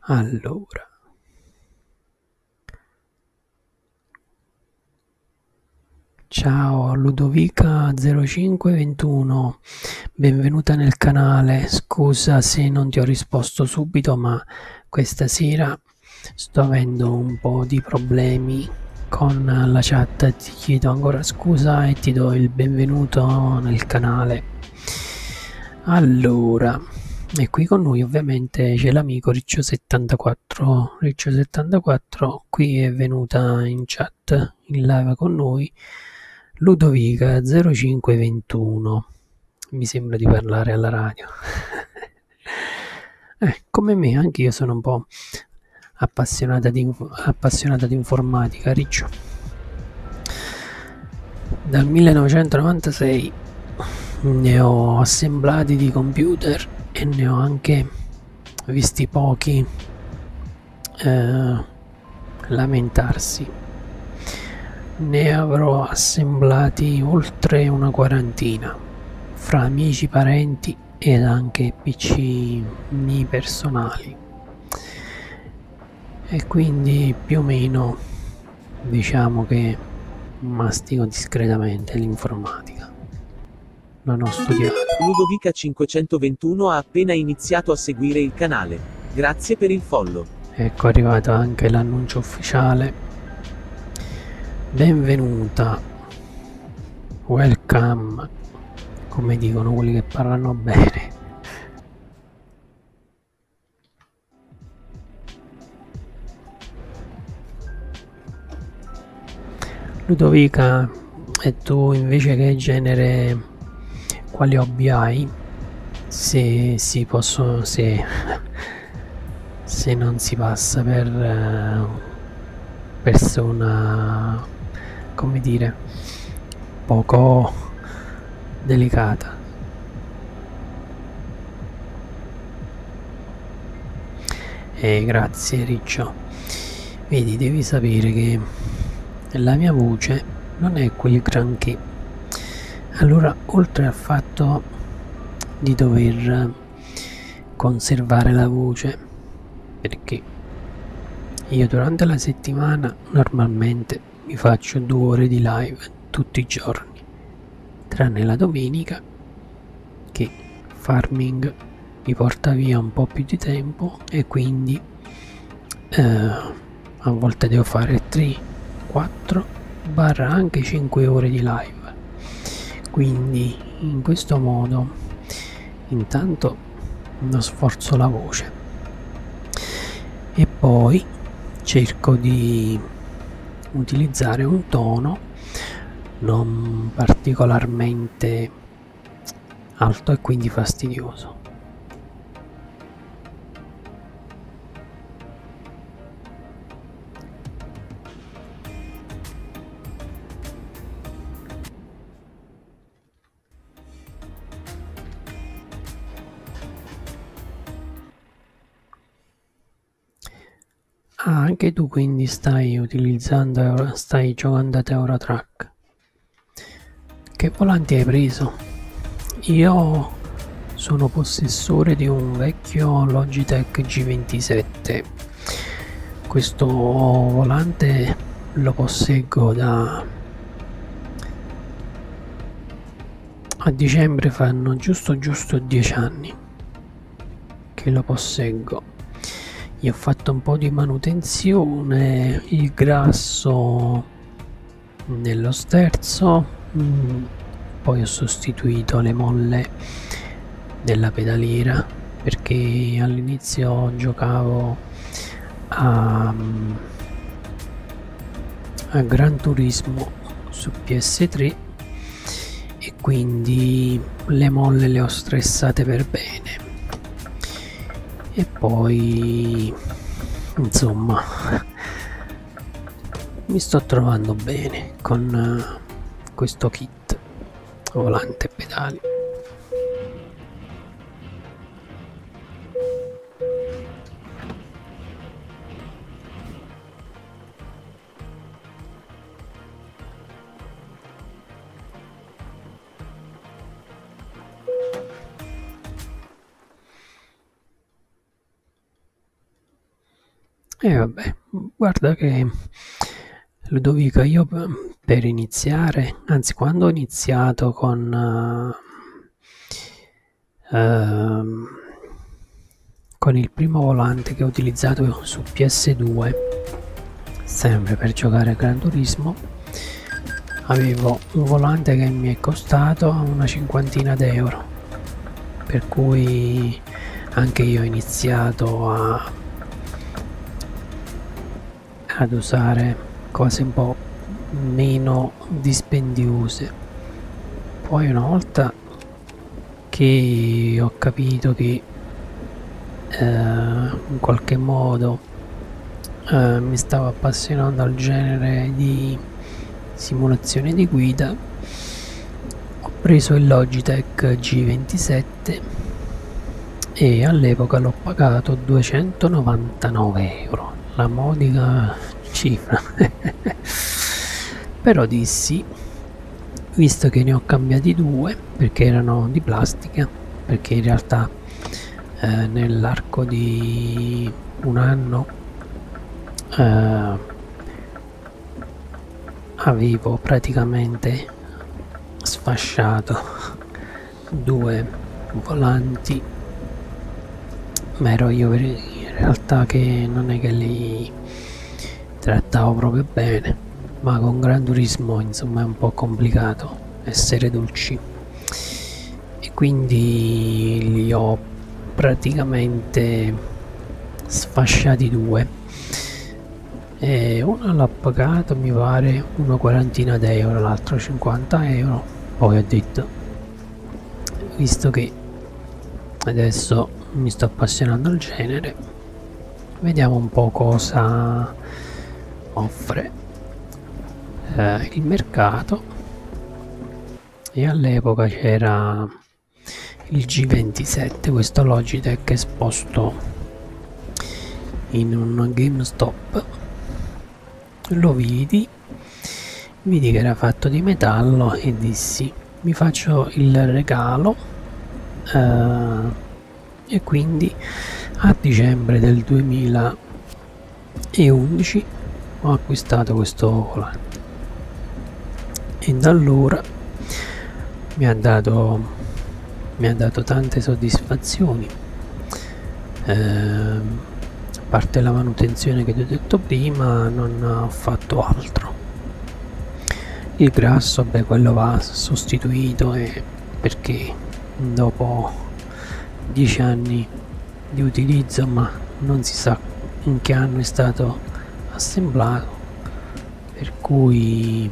Allora, Ciao Ludovica0521, benvenuta nel canale, scusa se non ti ho risposto subito ma questa sera sto avendo un po' di problemi con la chat, ti chiedo ancora scusa e ti do il benvenuto nel canale. Allora, e qui con noi ovviamente c'è l'amico Riccio74, Riccio74 2024 qui è venuta in chat in live con noi Ludovica 0521 mi sembra di parlare alla radio (laughs) eh, come me anche io sono un po' appassionata di, appassionata di informatica riccio dal 1996 ne ho assemblati di computer e ne ho anche visti pochi eh, lamentarsi. Ne avrò assemblati oltre una quarantina, fra amici, parenti ed anche piccini personali. E quindi più o meno diciamo che mastico discretamente l'informatica non ho studiato. Ludovica 521 ha appena iniziato a seguire il canale. Grazie per il follow. Ecco è arrivato anche l'annuncio ufficiale. Benvenuta. Welcome. Come dicono quelli che parlano bene. Ludovica, e tu invece che genere, quali hobby hai? Se si possono, se, se non si passa per uh, persona, come dire, poco delicata. Eh, grazie Riccio. Vedi, devi sapere che la mia voce non è quel granché. Allora, oltre al fatto di dover conservare la voce, perché io durante la settimana normalmente mi faccio due ore di live tutti i giorni, tranne la domenica che farming mi porta via un po' più di tempo e quindi eh, a volte devo fare 3 4 barra anche 5 ore di live quindi in questo modo intanto non sforzo la voce e poi cerco di utilizzare un tono non particolarmente estremamente alto e quindi fastidioso. Ah, anche tu quindi stai utilizzando, stai giocando ad Eurotrack. Che volanti hai preso? Io sono possessore di un vecchio Logitech G27. Questo volante lo posseggo da... A dicembre fanno giusto giusto 10 anni che lo posseggo gli ho fatto un po' di manutenzione il grasso nello sterzo mm. poi ho sostituito le molle della pedaliera perché all'inizio giocavo a, mm, a Gran Turismo su PS3 e quindi le molle le ho stressate per bene e poi insomma mi sto trovando bene con eh, questo kit volante e pedali e vabbè, guarda che Ludovica, io per iniziare, anzi quando ho iniziato con, uh, uh, con il primo volante che ho utilizzato su PS2, sempre per giocare a Gran Turismo avevo un volante che mi è costato una cinquantina d'euro per cui anche io ho iniziato a, ad usare cose un po' meno dispendiose poi una volta che ho capito che eh, in qualche modo eh, mi stavo appassionando al genere di simulazione di guida ho preso il Logitech G27 e all'epoca l'ho pagato 299 euro la modica cifra (laughs) però dissi visto che ne ho cambiati due perché erano di plastica perché in realtà eh, nell'arco di un anno eh, avevo praticamente sfasciato due volanti ma ero io in realtà che non è che li trattavo proprio bene ma con Gran Turismo insomma è un po' complicato essere dolci e quindi li ho praticamente sfasciati due e uno l'ha pagato mi pare una quarantina d'euro l'altro 50 euro poi ho detto visto che adesso mi sto appassionando al genere Vediamo un po' cosa offre eh, il mercato. E all'epoca c'era il G27, questo Logitech esposto in un GameStop. Lo vidi, vidi che era fatto di metallo e dissi mi faccio il regalo. Eh, e quindi a dicembre del 2011 ho acquistato questo volante e da allora mi ha dato, mi ha dato tante soddisfazioni eh, a parte la manutenzione che ti ho detto prima non ho fatto altro il grasso beh quello va sostituito e perché dopo dieci anni di utilizzo ma non si sa in che anno è stato assemblato per cui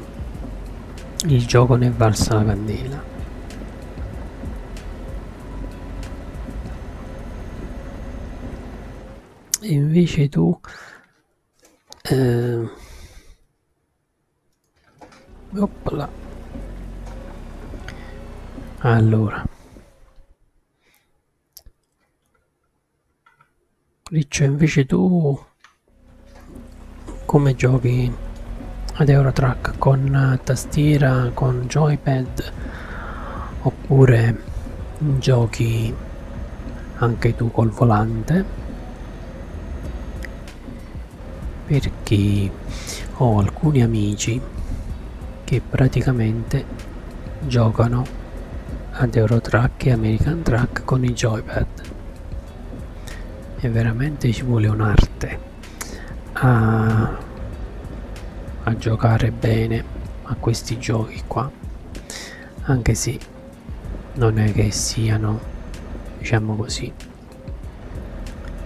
il gioco ne è valsa la candela e invece tu eh, Oppla. Allora. Riccio, invece tu come giochi ad Eurotrack? Con tastiera, con joypad oppure giochi anche tu col volante? perché ho alcuni amici che praticamente giocano ad Eurotrack e American Track con i joypad e veramente ci vuole un'arte a, a giocare bene a questi giochi qua anche se non è che siano diciamo così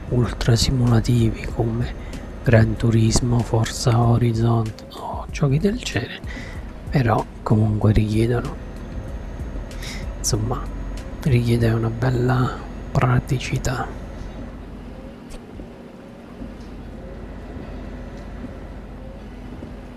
ultra simulativi come Gran Turismo, Forza Horizon o giochi del genere però comunque richiedono insomma richiede una bella praticità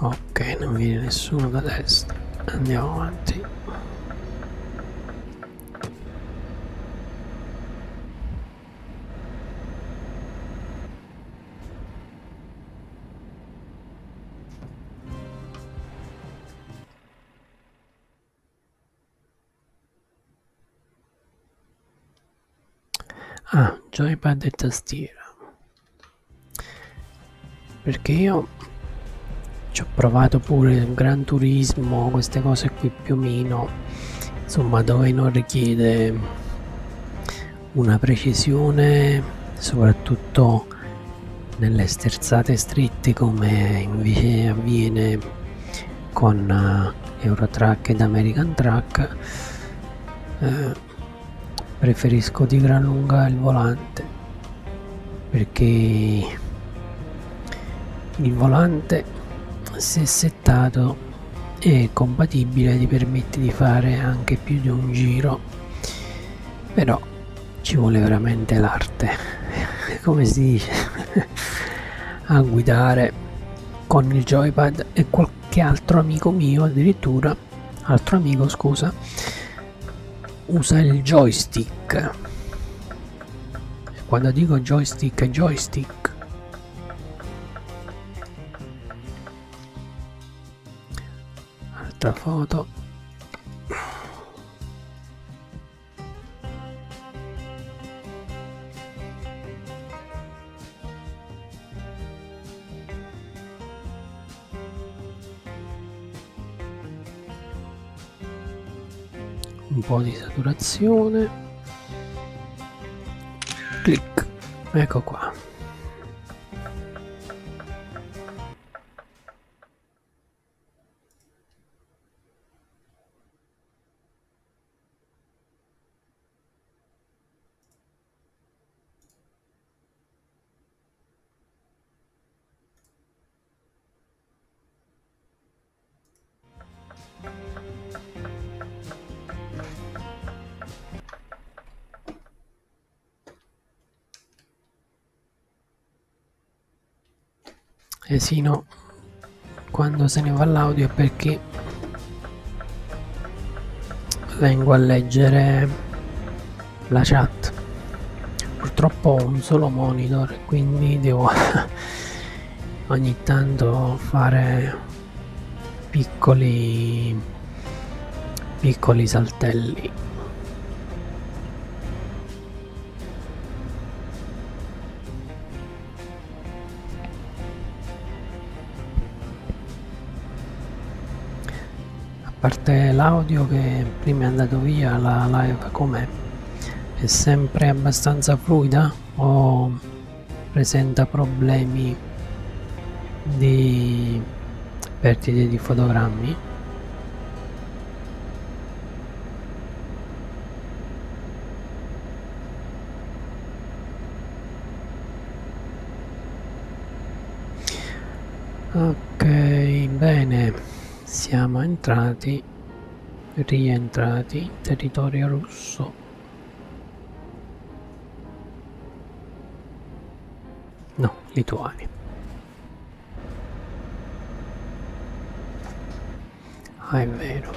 ok non viene nessuno da destra andiamo avanti Ah, joypad e tastiera perché io ci ho provato pure Gran Turismo queste cose qui più o meno insomma dove non richiede una precisione soprattutto nelle sterzate strette come invece avviene con eh, Eurotrack ed American Track eh, preferisco di gran lunga il volante perché il volante se settato è compatibile ti permette di fare anche più di un giro però ci vuole veramente l'arte (laughs) come si dice (laughs) a guidare con il joypad e qualche altro amico mio addirittura scusa, altro amico scusa, usa il joystick. Quando dico joystick, joystick. Altra foto un po' di saturazione clic ecco qua Esino eh quando se ne va l'audio è perché vengo a leggere la chat purtroppo ho un solo monitor quindi devo (laughs) ogni tanto fare piccoli piccoli saltelli a parte l'audio che prima è andato via la live com'è è sempre abbastanza fluida o presenta problemi di perdite di fotogrammi ok bene siamo entrati rientrati in territorio russo no lituania ah è vero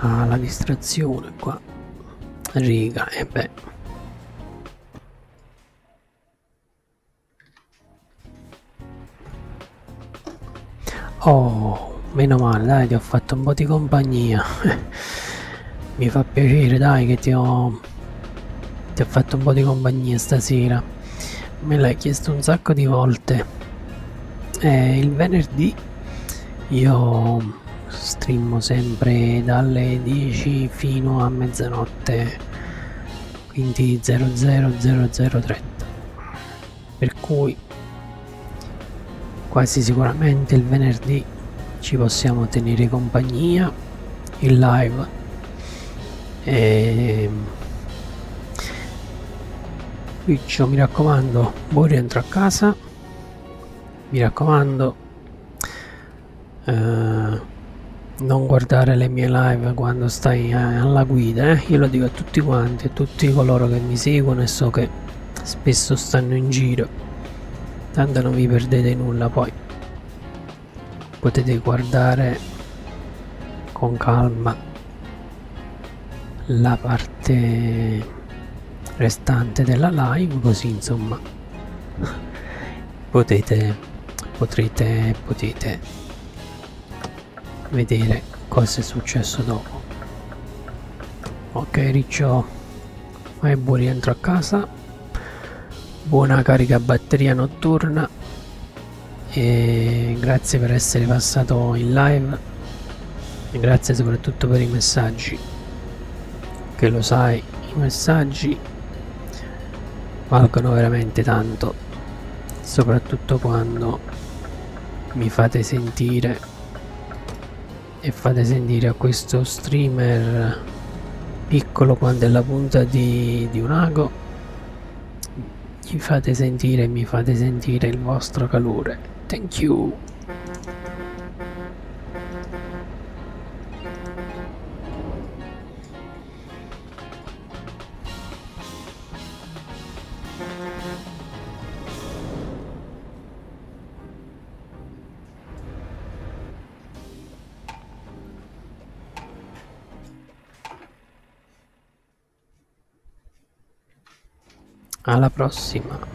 ah la distrazione qua riga e eh beh Oh, meno male, dai, ti ho fatto un po' di compagnia. (laughs) Mi fa piacere, dai, che ti ho... Ti ho fatto un po' di compagnia stasera. Me l'hai chiesto un sacco di volte. Eh, il venerdì io stream sempre dalle 10 fino a mezzanotte quindi 00030 per cui quasi sicuramente il venerdì ci possiamo tenere compagnia in live e ehm, Twitch mi raccomando buon rientro a casa mi raccomando eh, non guardare le mie live quando stai eh, alla guida eh? io lo dico a tutti quanti a tutti coloro che mi seguono e so che spesso stanno in giro tanto non vi perdete nulla poi potete guardare con calma la parte restante della live così insomma potete potrete potete vedere cosa è successo dopo ok riccio e eh, buon rientro a casa buona carica batteria notturna e grazie per essere passato in live e grazie soprattutto per i messaggi che lo sai i messaggi valgono veramente tanto soprattutto quando mi fate sentire e fate sentire a questo streamer piccolo quando è la punta di, di un ago mi fate sentire mi fate sentire il vostro calore thank you alla prossima.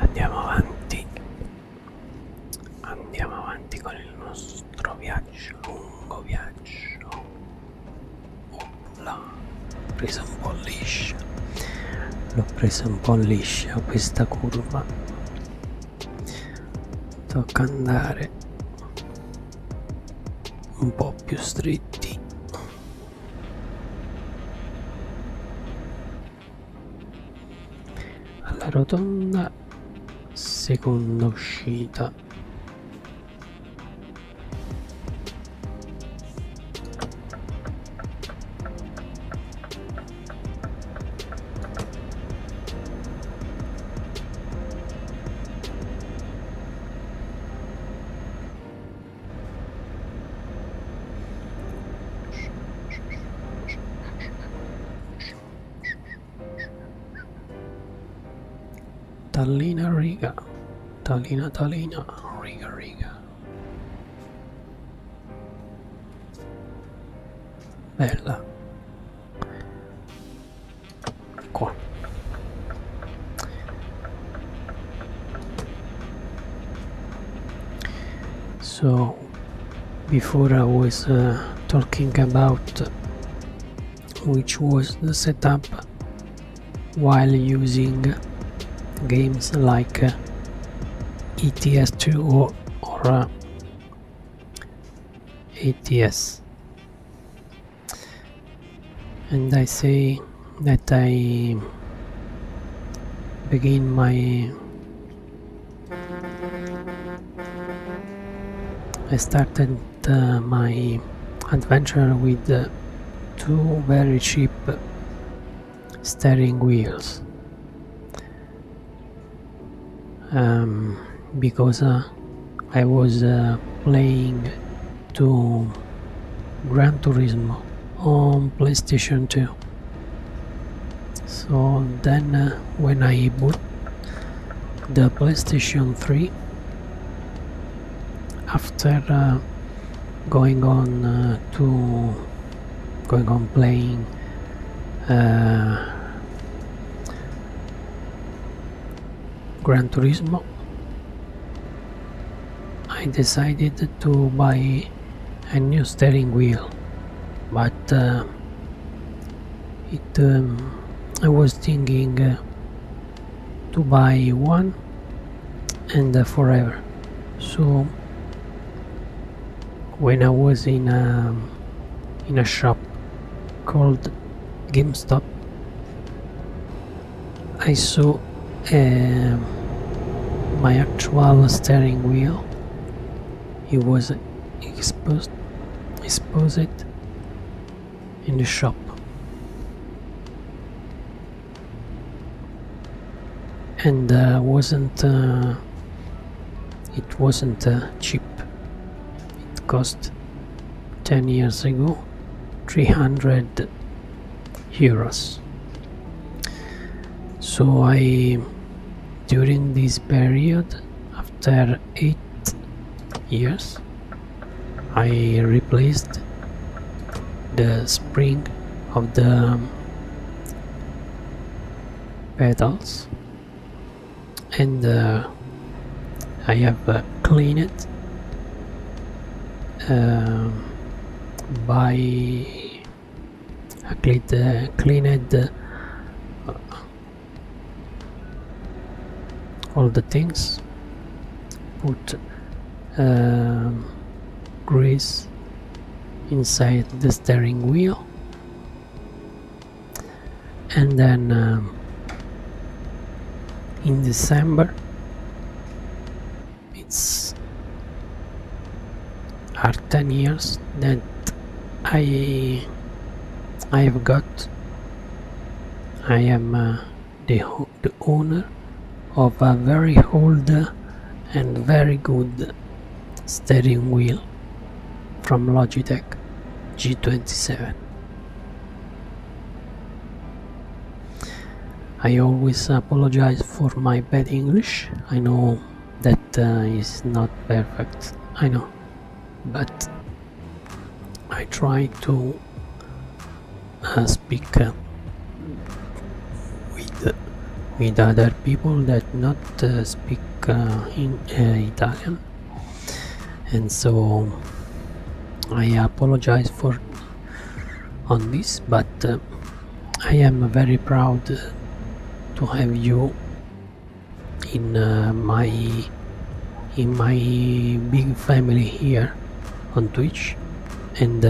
Andiamo avanti, andiamo avanti con il nostro viaggio, lungo viaggio. Opla l'ho presa un po' liscia l'ho presa un po' liscia questa curva tocca andare un po' più stretti alla rotonda seconda uscita Tallina Riga, Tallina Tallina, Riga Riga. Bella. So, before I was uh, talking about which was the setup while using games like uh, ETS2 or, or ATS. And I say that I begin my I started uh, my adventure with uh, two very cheap steering wheels um, because uh, I was uh, playing to Gran Turismo on PlayStation 2 so then uh, when I bought the PlayStation 3 after going on to going on playing uh, Gran Turismo I decided to buy a new steering wheel but uh, it um, I was thinking uh, to buy one and uh, forever so when I was in a, um, in a shop called GameStop I saw um, my actual steering wheel it was exposed exposed in the shop and uh, wasn't uh, it wasn't uh, cheap it cost 10 years ago 300 euros so I during this period after 8 years I replaced the spring of the petals and uh, I have uh, cleaned it um, by I cleaned, uh, cleaned all the things put um, grease inside the steering wheel and then um, in December it's are 10 years that I I've got I am uh, the, the owner of a very old and very good steering wheel from Logitech G27. I always apologize for my bad English. I know that uh, is not perfect, I know, but I try to uh, speak uh, with with other people that not uh, speak uh, in uh, Italian and so I apologize for on this but I am very proud to have you in my in my big family here on Twitch and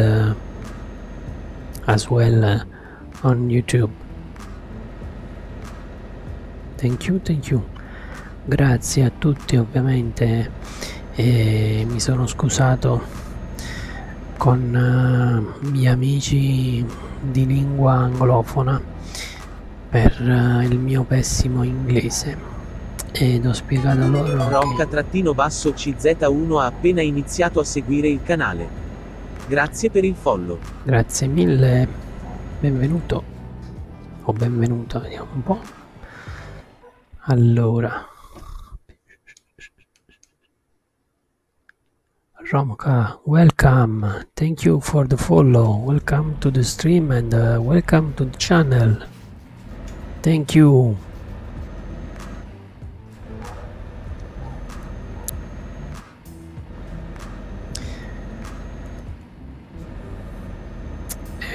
as well on YouTube. Thank you, thank you. Grazie a tutti ovviamente e mi sono scusato con uh, gli amici di lingua anglofona per uh, il mio pessimo inglese ed ho spiegato loro Ronca-CZ1 che... ha appena iniziato a seguire il canale Grazie per il follow. Grazie mille. Benvenuto. O benvenuta, vediamo un po'. Allora. Romka, welcome. Thank you for the follow. Welcome to the stream and uh, welcome to the channel. Thank you.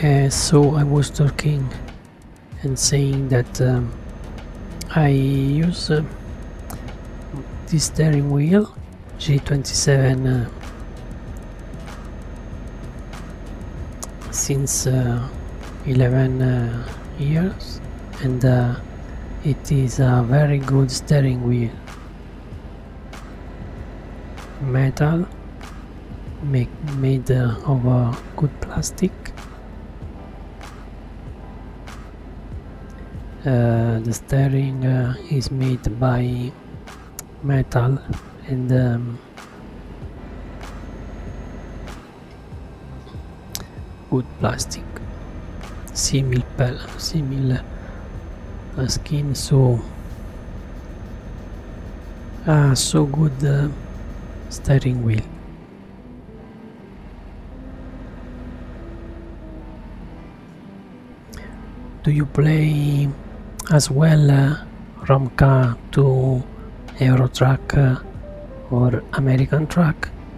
Uh, so I was talking and saying that um, I use uh, this steering wheel G27 uh, since 11 years and it is a very good steering wheel metal made of a good plastic uh, the steering uh, is made by metal and um, Good plastic. Similar, similar skin, so ah, so good uh, steering wheel. Do you play as well uh, Romca to Euro Truck uh, or American Truck?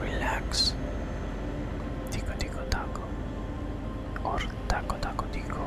relax tico tico taco or taco taco tico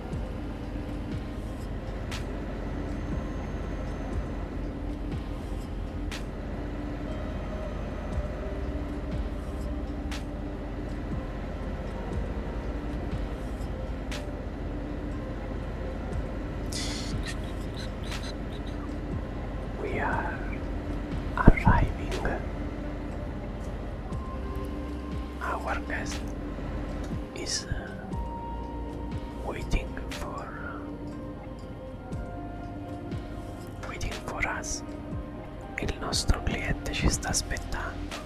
We are arriving. Our guest is uh, waiting for waiting for us. Il nostro cliente ci sta aspettando.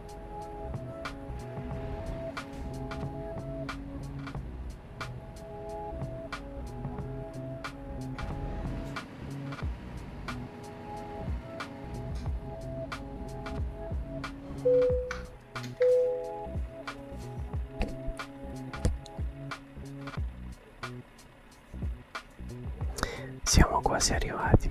Siamo quasi arrivati.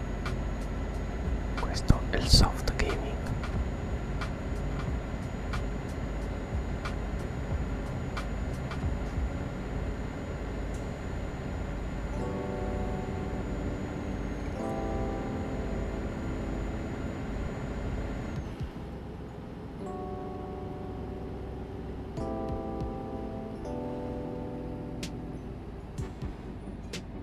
questo è il soft gaming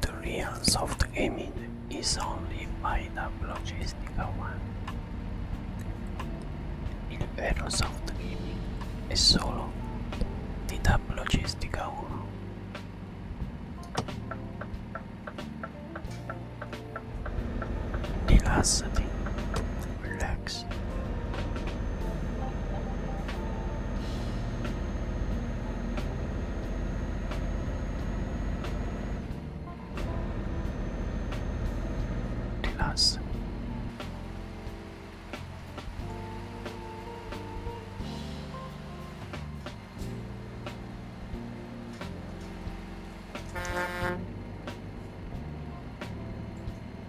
The real soft gaming is only by the logistical one. Il vero soft gaming è solo di Tab Logistica 1. Rilassati, relax. Rilassati.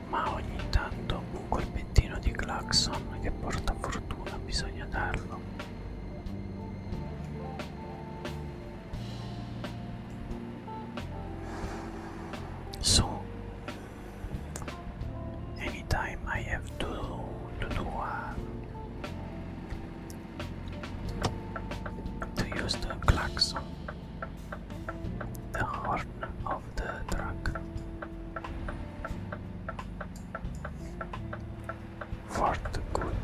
Ma ogni tanto un colpettino di clacson che porta fortuna bisogna darlo. Su, anytime I have to, to do uh, to use the klaxon, the horn of the truck. For the good,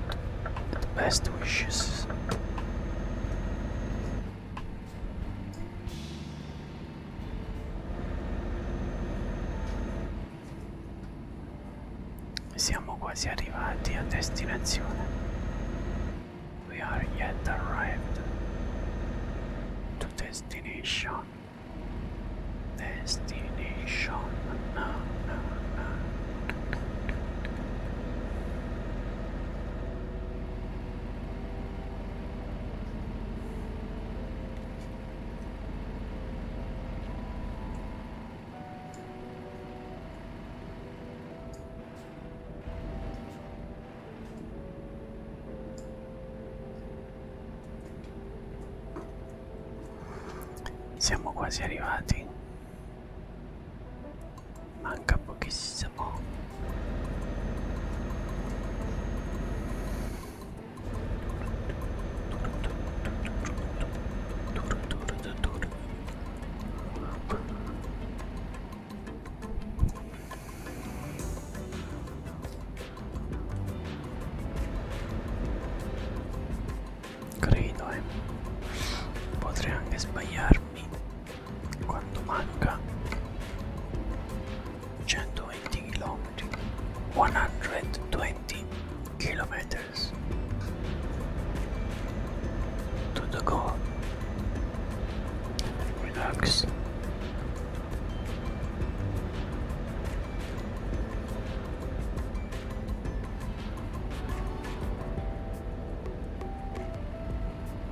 the best wishes. Siamo quasi arrivati a destinazione. We are yet arrived to destination. Destination. No, no, no. Siamo quasi arrivati. Manca pochissimo. Credo, eh. Potrei anche sbagliarmi. quanto manca 120 120 kilometers to the goal relax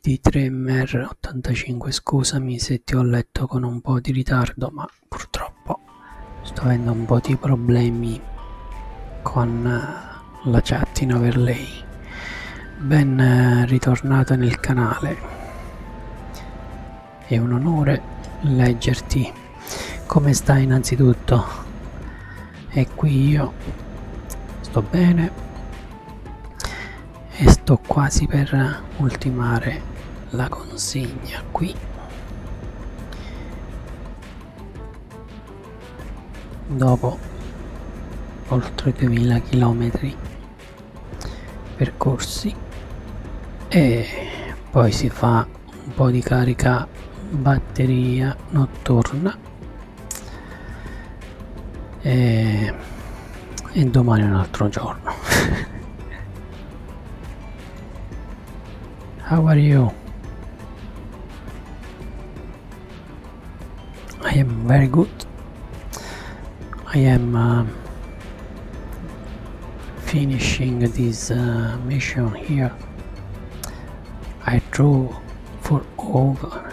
Di Tremer ottantacinque scusa misetti ho letto con un po' di ritardo ma purtroppo sto avendo un po' di problemi con eh, la chat in overlay ben eh, ritornato nel canale è un onore leggerti come stai innanzitutto e qui io sto bene e sto quasi per ultimare la consegna qui dopo oltre 2000 km percorsi e poi si fa un po' di carica batteria notturna e, e domani è (laughs) how are you I am very good I am uh, finishing this uh, mission here I drew for over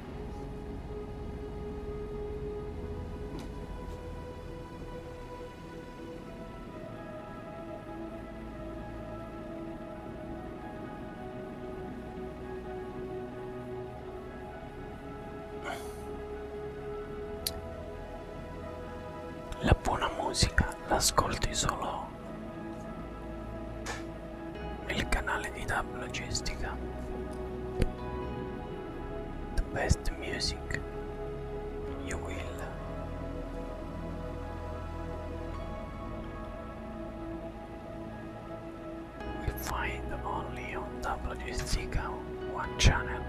La buona musica l'ascolti solo nel canale di Tab Logistica. The best music you will. We find only on Tab Logistica one channel.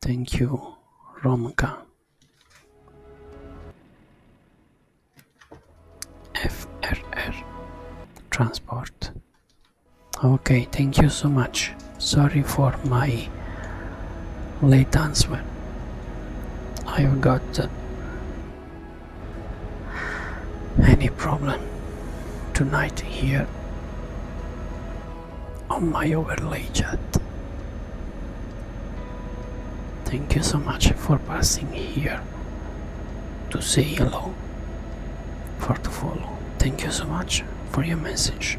Thank you, Romka. FRR Transport. Okay, thank you so much. Sorry for my late answer. I've got any problem tonight here on my overlay chat. Thank you so much for passing here to say hello, for to follow. Thank you so much for your message.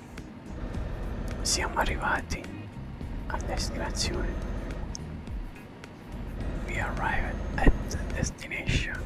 Siamo arrivati a destinazione. We arrived at the destination.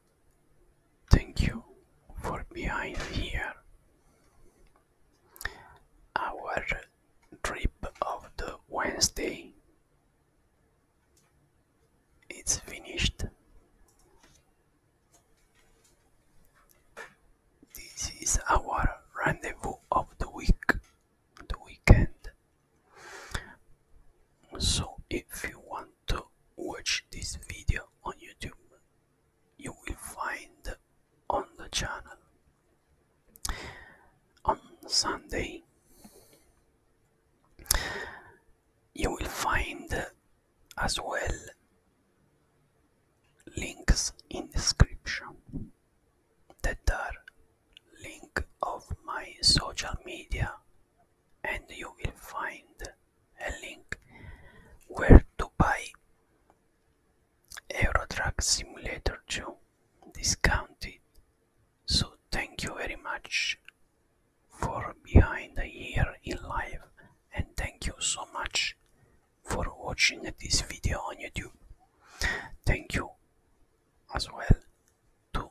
Thank you for being here. Our trip of the Wednesday is finished. This is our rendezvous of the week, the weekend. So, if you want to watch this video on YouTube, you will find on the channel. On Sunday, you will find as well links in description that are link of my social media and you will find a link where to buy Euro Truck Simulator 2 discounted. So thank you very much for behind the year in life, and thank you so much for watching this video on YouTube. Thank you as well to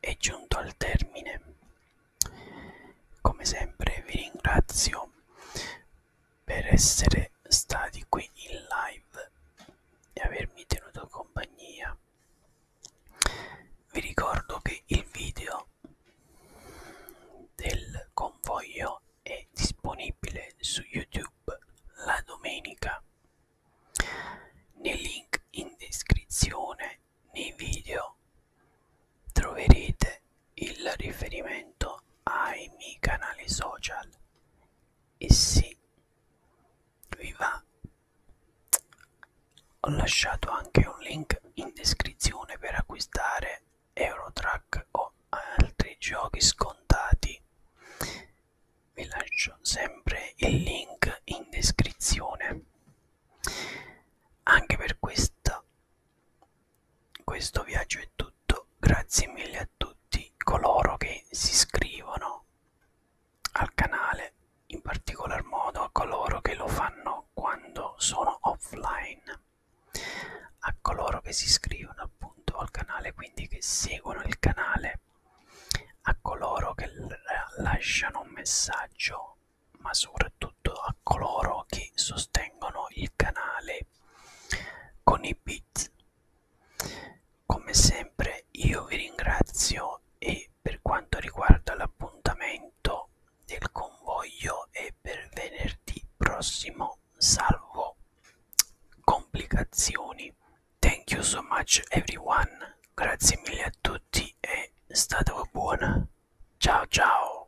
è giunto al termine. Come sempre vi ringrazio per essere stati qui in live e avermi tenuto compagnia. Vi ricordo che il video del convoglio è disponibile su YouTube la domenica nel link in descrizione nei video troverete il riferimento ai miei canali social e se vi va ho lasciato anche un link in descrizione per acquistare Eurotrack o altri giochi scontati vi lascio sempre il link in descrizione anche per questa, questo viaggio è tutto grazie mille a tutti coloro che si iscrivono al canale in particolar modo a coloro che lo fanno quando sono offline a coloro che si iscrivono appunto al canale quindi che seguono il canale a coloro che lasciano un messaggio, ma soprattutto a coloro che sostengono il canale con i bit. Come sempre io vi ringrazio e per quanto riguarda l'appuntamento del convoglio è per venerdì prossimo salvo complicazioni Thank you so much everyone, grazie mille a tutti e state buona. Ciao ciao!